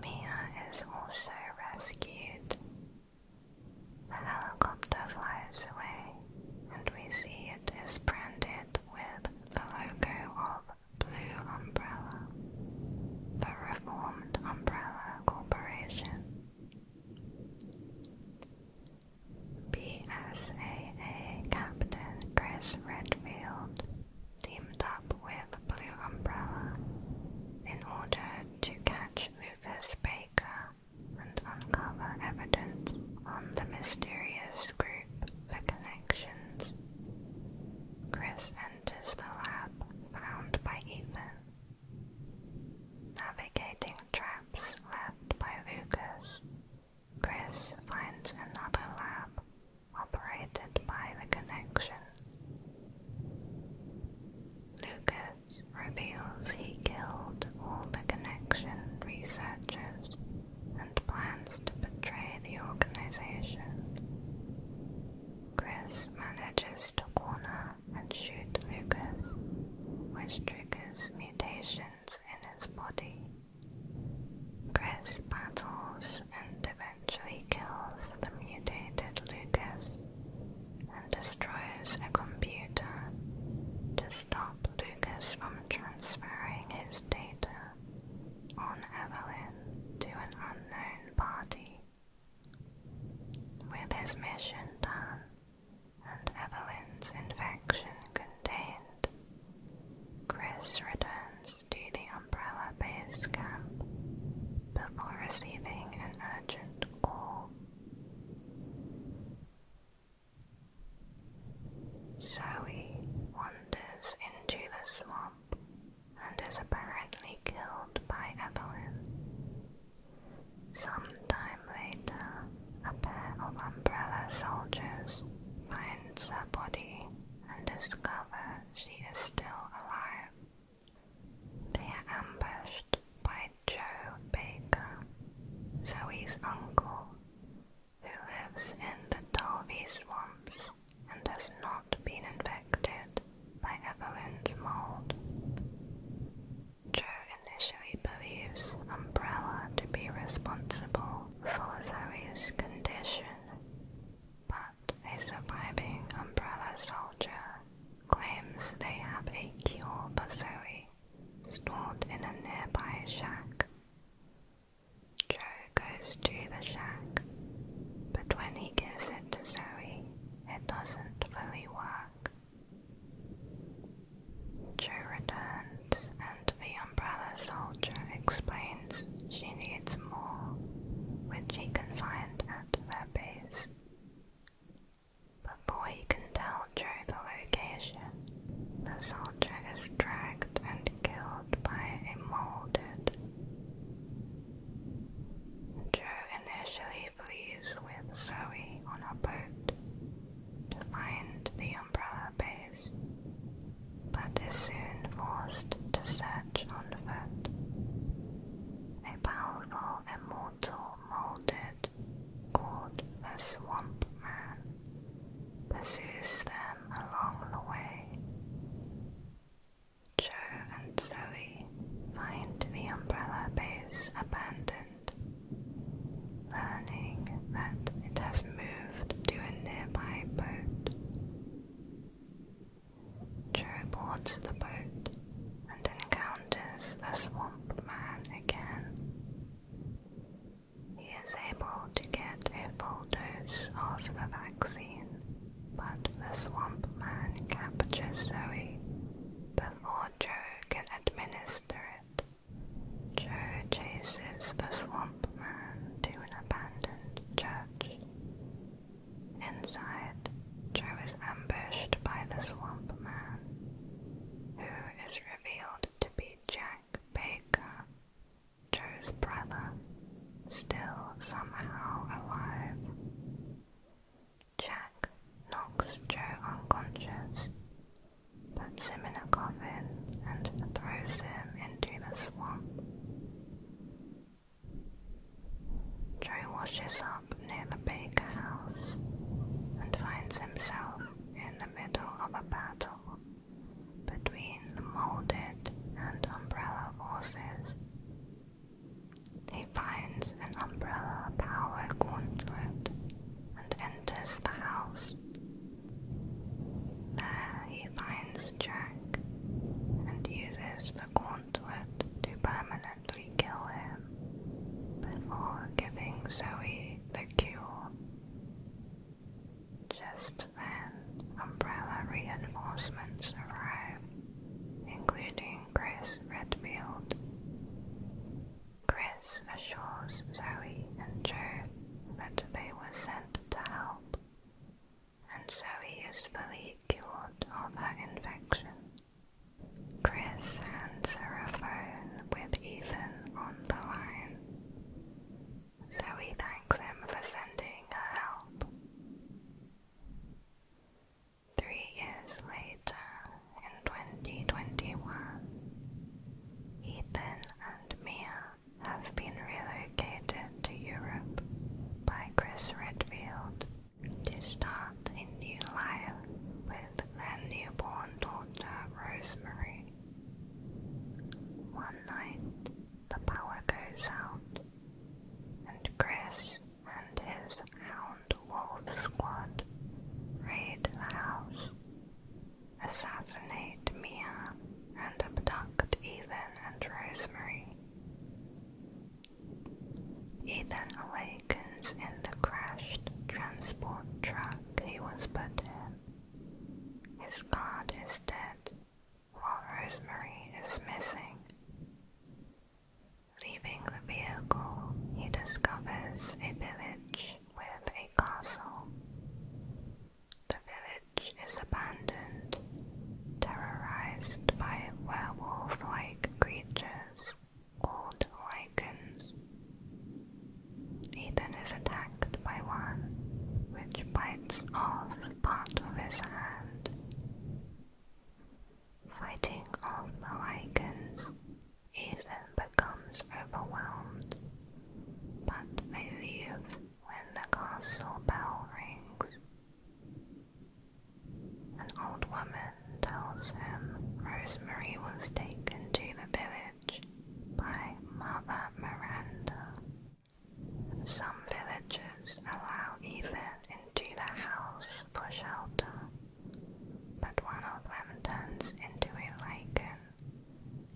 Mia is also rescued. The helicopter flies away, and we see it is branded with the logo of Blue Umbrella, the reformed Umbrella Corporation. BSAA Captain Chris Redfield teamed up with Blue Umbrella in order to catch Lucas Baker and uncover evidence on the mysterious group for connections. Chris is the lab found by Ethan. Navigating traps left by Lucas, Chris finds another lab operated by the connection. Lucas reveals he killed all the connection researchers and plans to betray the organization. Chris manages to corner and shoot Lucas, which triggers mutations in his body. Chris battles and eventually kills the mutated Lucas and destroys a computer to stop Lucas from transferring his data on Evelyn to an unknown party. With his mission done and Evelyn's infection contained, Chris returns to the Umbrella base camp before receiving an urgent call. Zoe wanders into the swamp and is apparently killed by Evelyn. Some time later, a pair of umbrella soldiers finds her body and discover she is still alive. They are ambushed by Joe Baker, Zoe's uncle, who lives in the Dolby Swamps and has not been infected by Evelyn's mold. Joe initially believes Umbrella to be responsible for Zoe's condition, but a surviving Umbrella soldier claims they have a cure for Zoe stored in a nearby shack. Joe goes to the shack, but when he gives to Zoe, it doesn't really work. Joe returns, and the umbrella soldier explains she needs more, which he can find at their base. Before he can tell Joe the location, the soldier is dragged and killed by a molded, Joe initially flees with Zoe on a boat to find the umbrella base, but is soon forced to search on foot. A powerful immortal molded called the Swamp Man pursues them along the way. Joe and Zoe find the umbrella base abandoned, learning that it has moved to a nearby boat. Joe boards the boat and encounters the swamp man again. He is able to get a full dose of the vaccine but the swamp man captures Zoe before Joe can administer it. Joe chases the swamp man to an abandoned church. Inside, Joe is ambushed by the swamp man, who is revealed to be Jack Baker, Joe's brother, still somehow alive. Jack knocks Joe unconscious, puts him in a coffin, and throws him into the swamp. Joe washes up near the Baker house and finds himself in the middle of a battle between the molded and umbrella forces. He finds an umbrella power gauntlet and enters the house. There he finds Jack and uses the gauntlet to permanently kill him before giving Zoe the cure. Just then, Umbrella reinforcements arrive, including Chris Redfield. Chris assures Zoe and Joe that they were sent to help, and Zoe is fully cured of her infection. Chris hands a phone with Ethan on the line. Zoe thanks him for sending her help. Three years later, in 2021, Ethan and Mia have been relocated to Europe by Chris Redfield to start a new life with their newborn daughter Rosemary. One night, the power goes out, and Chris and his Hound Wolf squad raid the house, assassinate Mia, and abduct Ethan and Rosemary. Ethan awakens in the crashed transport truck he was put in. His guard is dead, while Rosemary is missing. Leaving the vehicle, he discovers a village with a castle. The village is abandoned, terrorized by werewolf-like creatures called lichens. Ethan is attacked by one, which bites off part of his hand fighting off the Lycans, even becomes overwhelmed. But they leave when the castle bell rings. An old woman tells him Rosemary was taken to the village by Mother Miranda. Some villagers allow even into the house for shelter, but one of them turns into a lichen,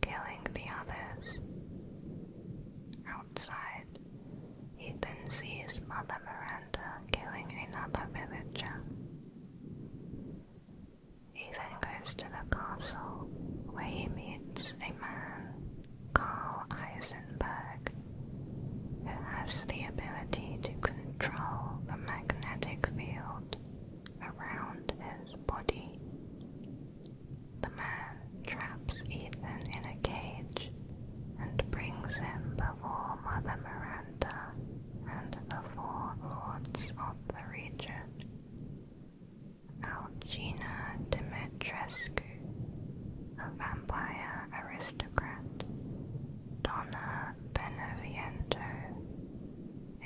killing the others. Outside, Ethan sees Mother Miranda killing another villager. Ethan goes to the castle where he meets a man, called Isaac, who has the ability to control the magnetic field around his body. The man traps Ethan in a cage and brings him before Mother Miranda and the four lords of the region. Algina Dimitrescu, a vampire aristocrat, Donna Beneviento,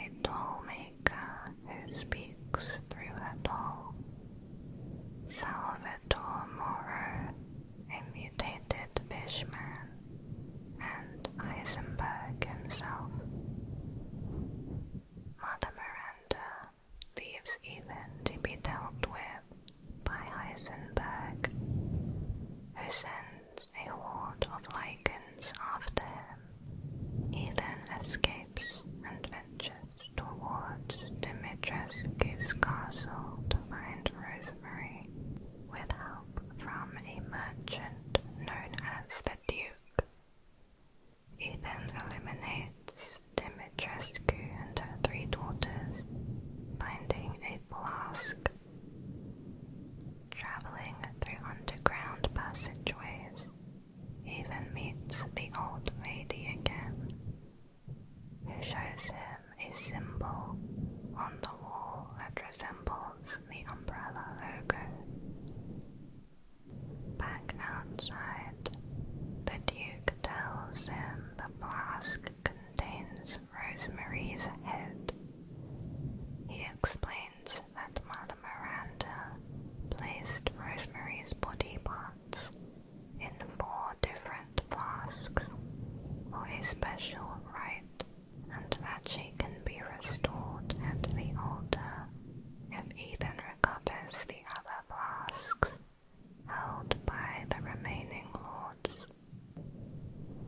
a doll maker who speaks through her doll. Salvador Moro, a mutated fishman, and Eisenberg himself. Mother Miranda leaves Ethan to be dealt with by Heisenberg, who sends a horde of lichens after him. Ethan escapes and ventures towards Dimitrescu's castle to find Rosemary with help from a merchant known as the Duke. Ethan eliminates Dimitrescu and her three daughters, finding a flask Traveling through underground passageways, even meets the old lady again, who shows him a symbol on the wall that resembles the umbrella logo. Back outside, the Duke tells him the flask contains Rosemary's head. He explains that Mother Miranda placed Rosemary's body parts in four different flasks for a special rite, and that she can be restored at the altar if Ethan recovers the other flasks held by the remaining lords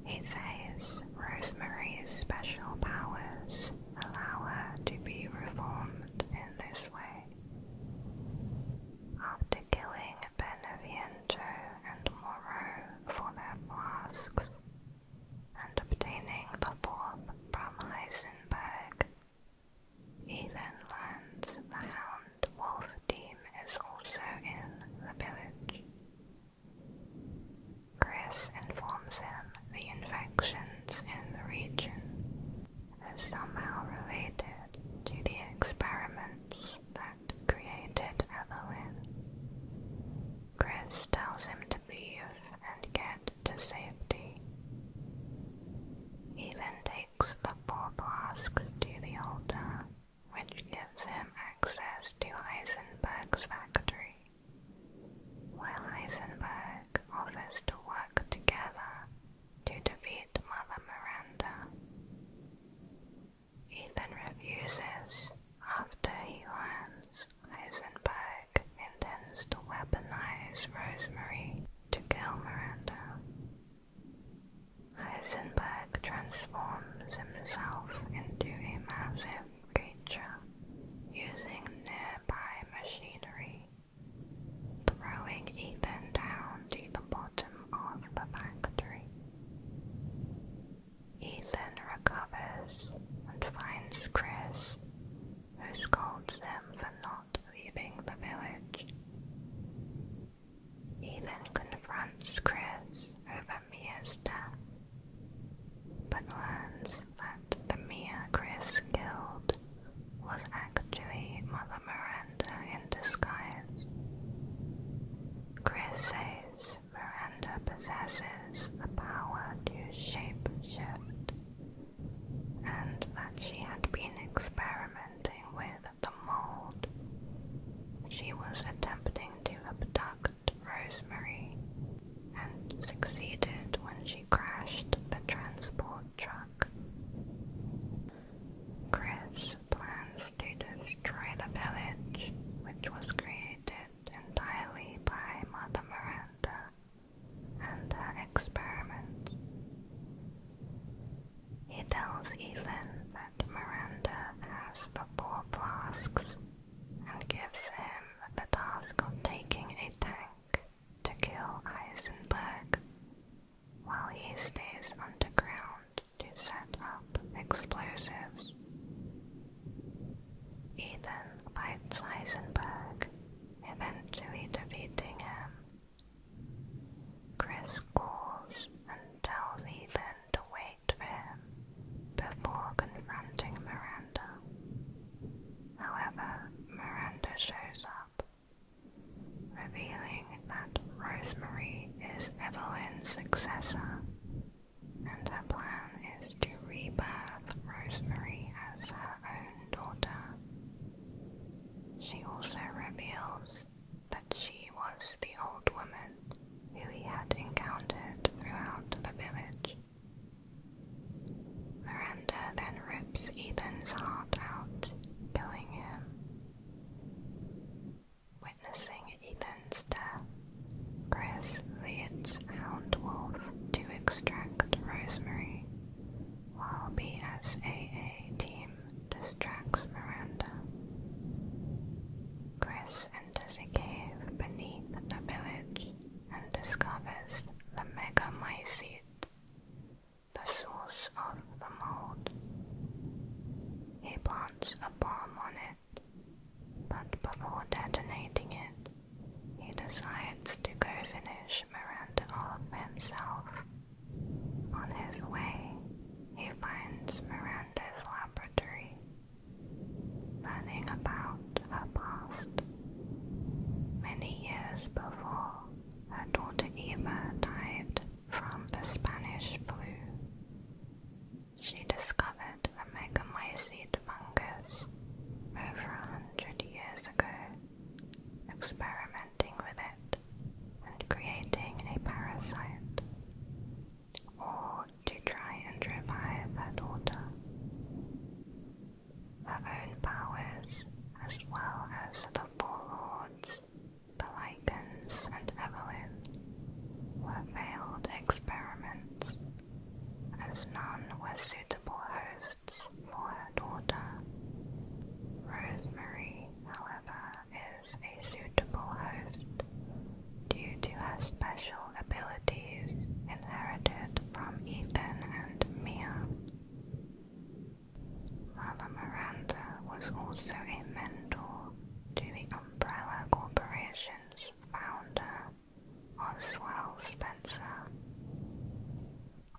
he says Rosemary's special powers allow her to be reformed in this way. After killing Beneviento and Morrow for their flasks and obtaining the fourth from Heisenberg, Elon learns the hound and Wolf Team is also in the village. Chris informs him the infections in the region are somehow related to the experiments that created Evelyn. Chris tells him to leave and get to safety. He then takes the four flasks to the altar which gives him access to Heisenberg's factory. While Heisenberg offers to work together to defeat Mother Miranda, Ethan refuses after he learns Heisenberg intends to weaponize Rosemary to kill Miranda. Heisenberg transforms himself into a massive creature using nearby machinery, throwing Ethan down to the bottom of the factory. Ethan recovers and finds Chris, who scolds them for not leaving the village. He even confronts Chris over Mia's death, but learns that the Mia Chris killed was actually Mother Miranda in disguise. Chris says Miranda possesses the power to shape shift, and that she had been experimenting with the mold. She was attempting to abduct Rosemary and succeeded when she crashed the transport truck. Chris plans to destroy the village, which was created entirely by Mother Miranda and her experiments. He tells Ethan Miranda asks the four flasks and gives him the task of taking a tank to kill Heisenberg while he stays underground to set up explosives. Ethan fights Heisenberg, eventually defeating him. Chris calls and tells Ethan to wait for him before confronting Miranda. However, Miranda shows up, revealing that Rosemary is Evelyn's successor, and her plan is to rebirth Rosemary as her own daughter. She also reveals that she was the old woman who he had encountered throughout the village. Miranda then rips Ethan's heart out, killing him. Witnessing Ethan's death, Chris leads Hound Wolf to extract Rosemary, while BSAA team distracts Miranda. Chris enters a cave beneath the village and discovers the Megamycete, the source of the mold. He plants a bomb on it, but before detonating it, he decides to go finish Miranda off himself. On his way, he finds Miranda's laboratory learning about her past. Many years before, her daughter Eva died from the Spanish flu. She discovered the Megamycete fungus over a hundred years ago, experimenting with it and creating a parasite or to try and revive her daughter. Her own powers, as well as the Warlords, the Lycans, and Evelyn, were failed experiments, as none were suitable hosts for her daughter. Rosemary, however, is a suitable host due to her special abilities inherited from Ethan and Mia. Mother Miranda was also a mentor to the Umbrella Corporation's founder, Oswell Spencer.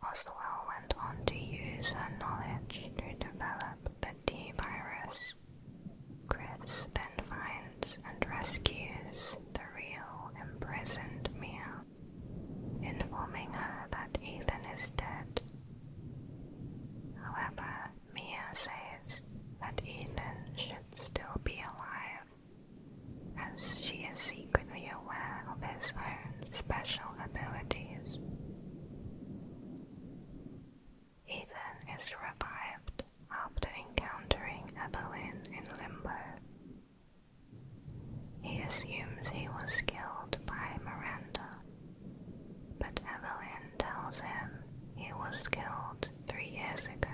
Oswell went on to use her knowledge to develop the D virus, Chris then finds and rescues the real imprisoned Mia, informing her that Ethan is dead. However, Mia says that Ethan should still be alive, as she is secretly aware of his own special abilities. He then is revived after encountering Evelyn in Limbo. He assumes he was killed by Miranda, but Evelyn tells him he was killed three years ago.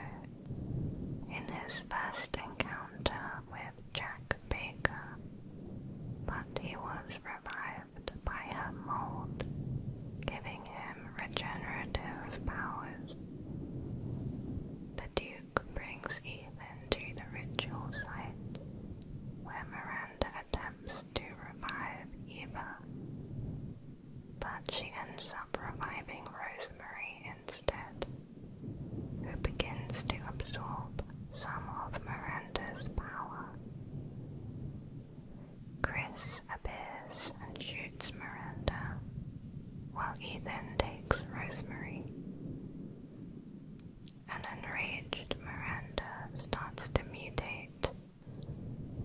In his first encounter with Jack Baker, but he was revived by a mold, giving giving him regenerative powers. The Duke brings Ethan to the ritual site, where Miranda attempts to revive Eva, but she ends up reviving Rosemary instead, who begins to absorb some of Miranda's power. Chris appears and shoots Miranda, while Ethan takes Rosemary. An enraged Miranda starts to mutate,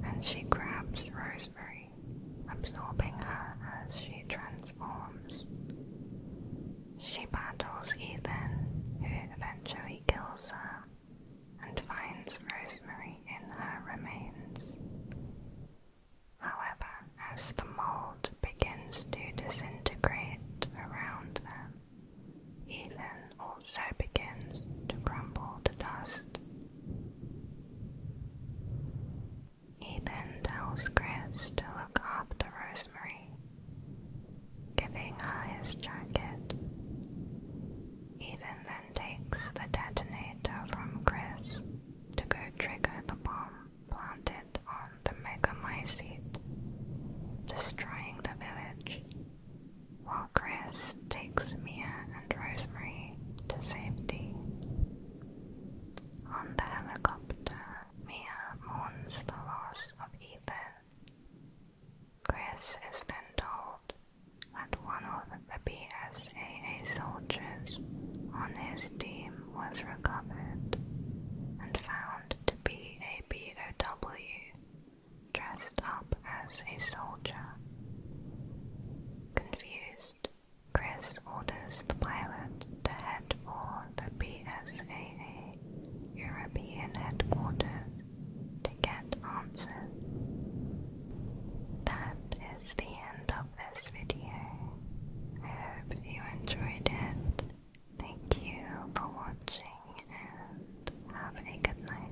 and she grabs Rosemary, absorbing her as she transforms. She battles Ethan, who eventually kills her, and finds Rosemary in her remains. However, as the mold begins to disintegrate around them, Elin also begins to crumble to dust. Ethan tells Chris to look after Rosemary, giving her his jacket. Ethan then takes the detonator from Chris to go trigger the bomb planted on the Megamycete, destroying the village, while Chris takes Mia and Rosemary to safety. On the helicopter, Mia mourns the loss of Ethan. Chris is then told that one of the PSAA soldiers on his team was recovered and found to be a B.O.W. dressed up as a soldier. Confused, Chris orders the pilot to head for the PSAA European headquarters to get answers. That is the end of this video. I hope you enjoyed it. Thank you for watching and have a good night.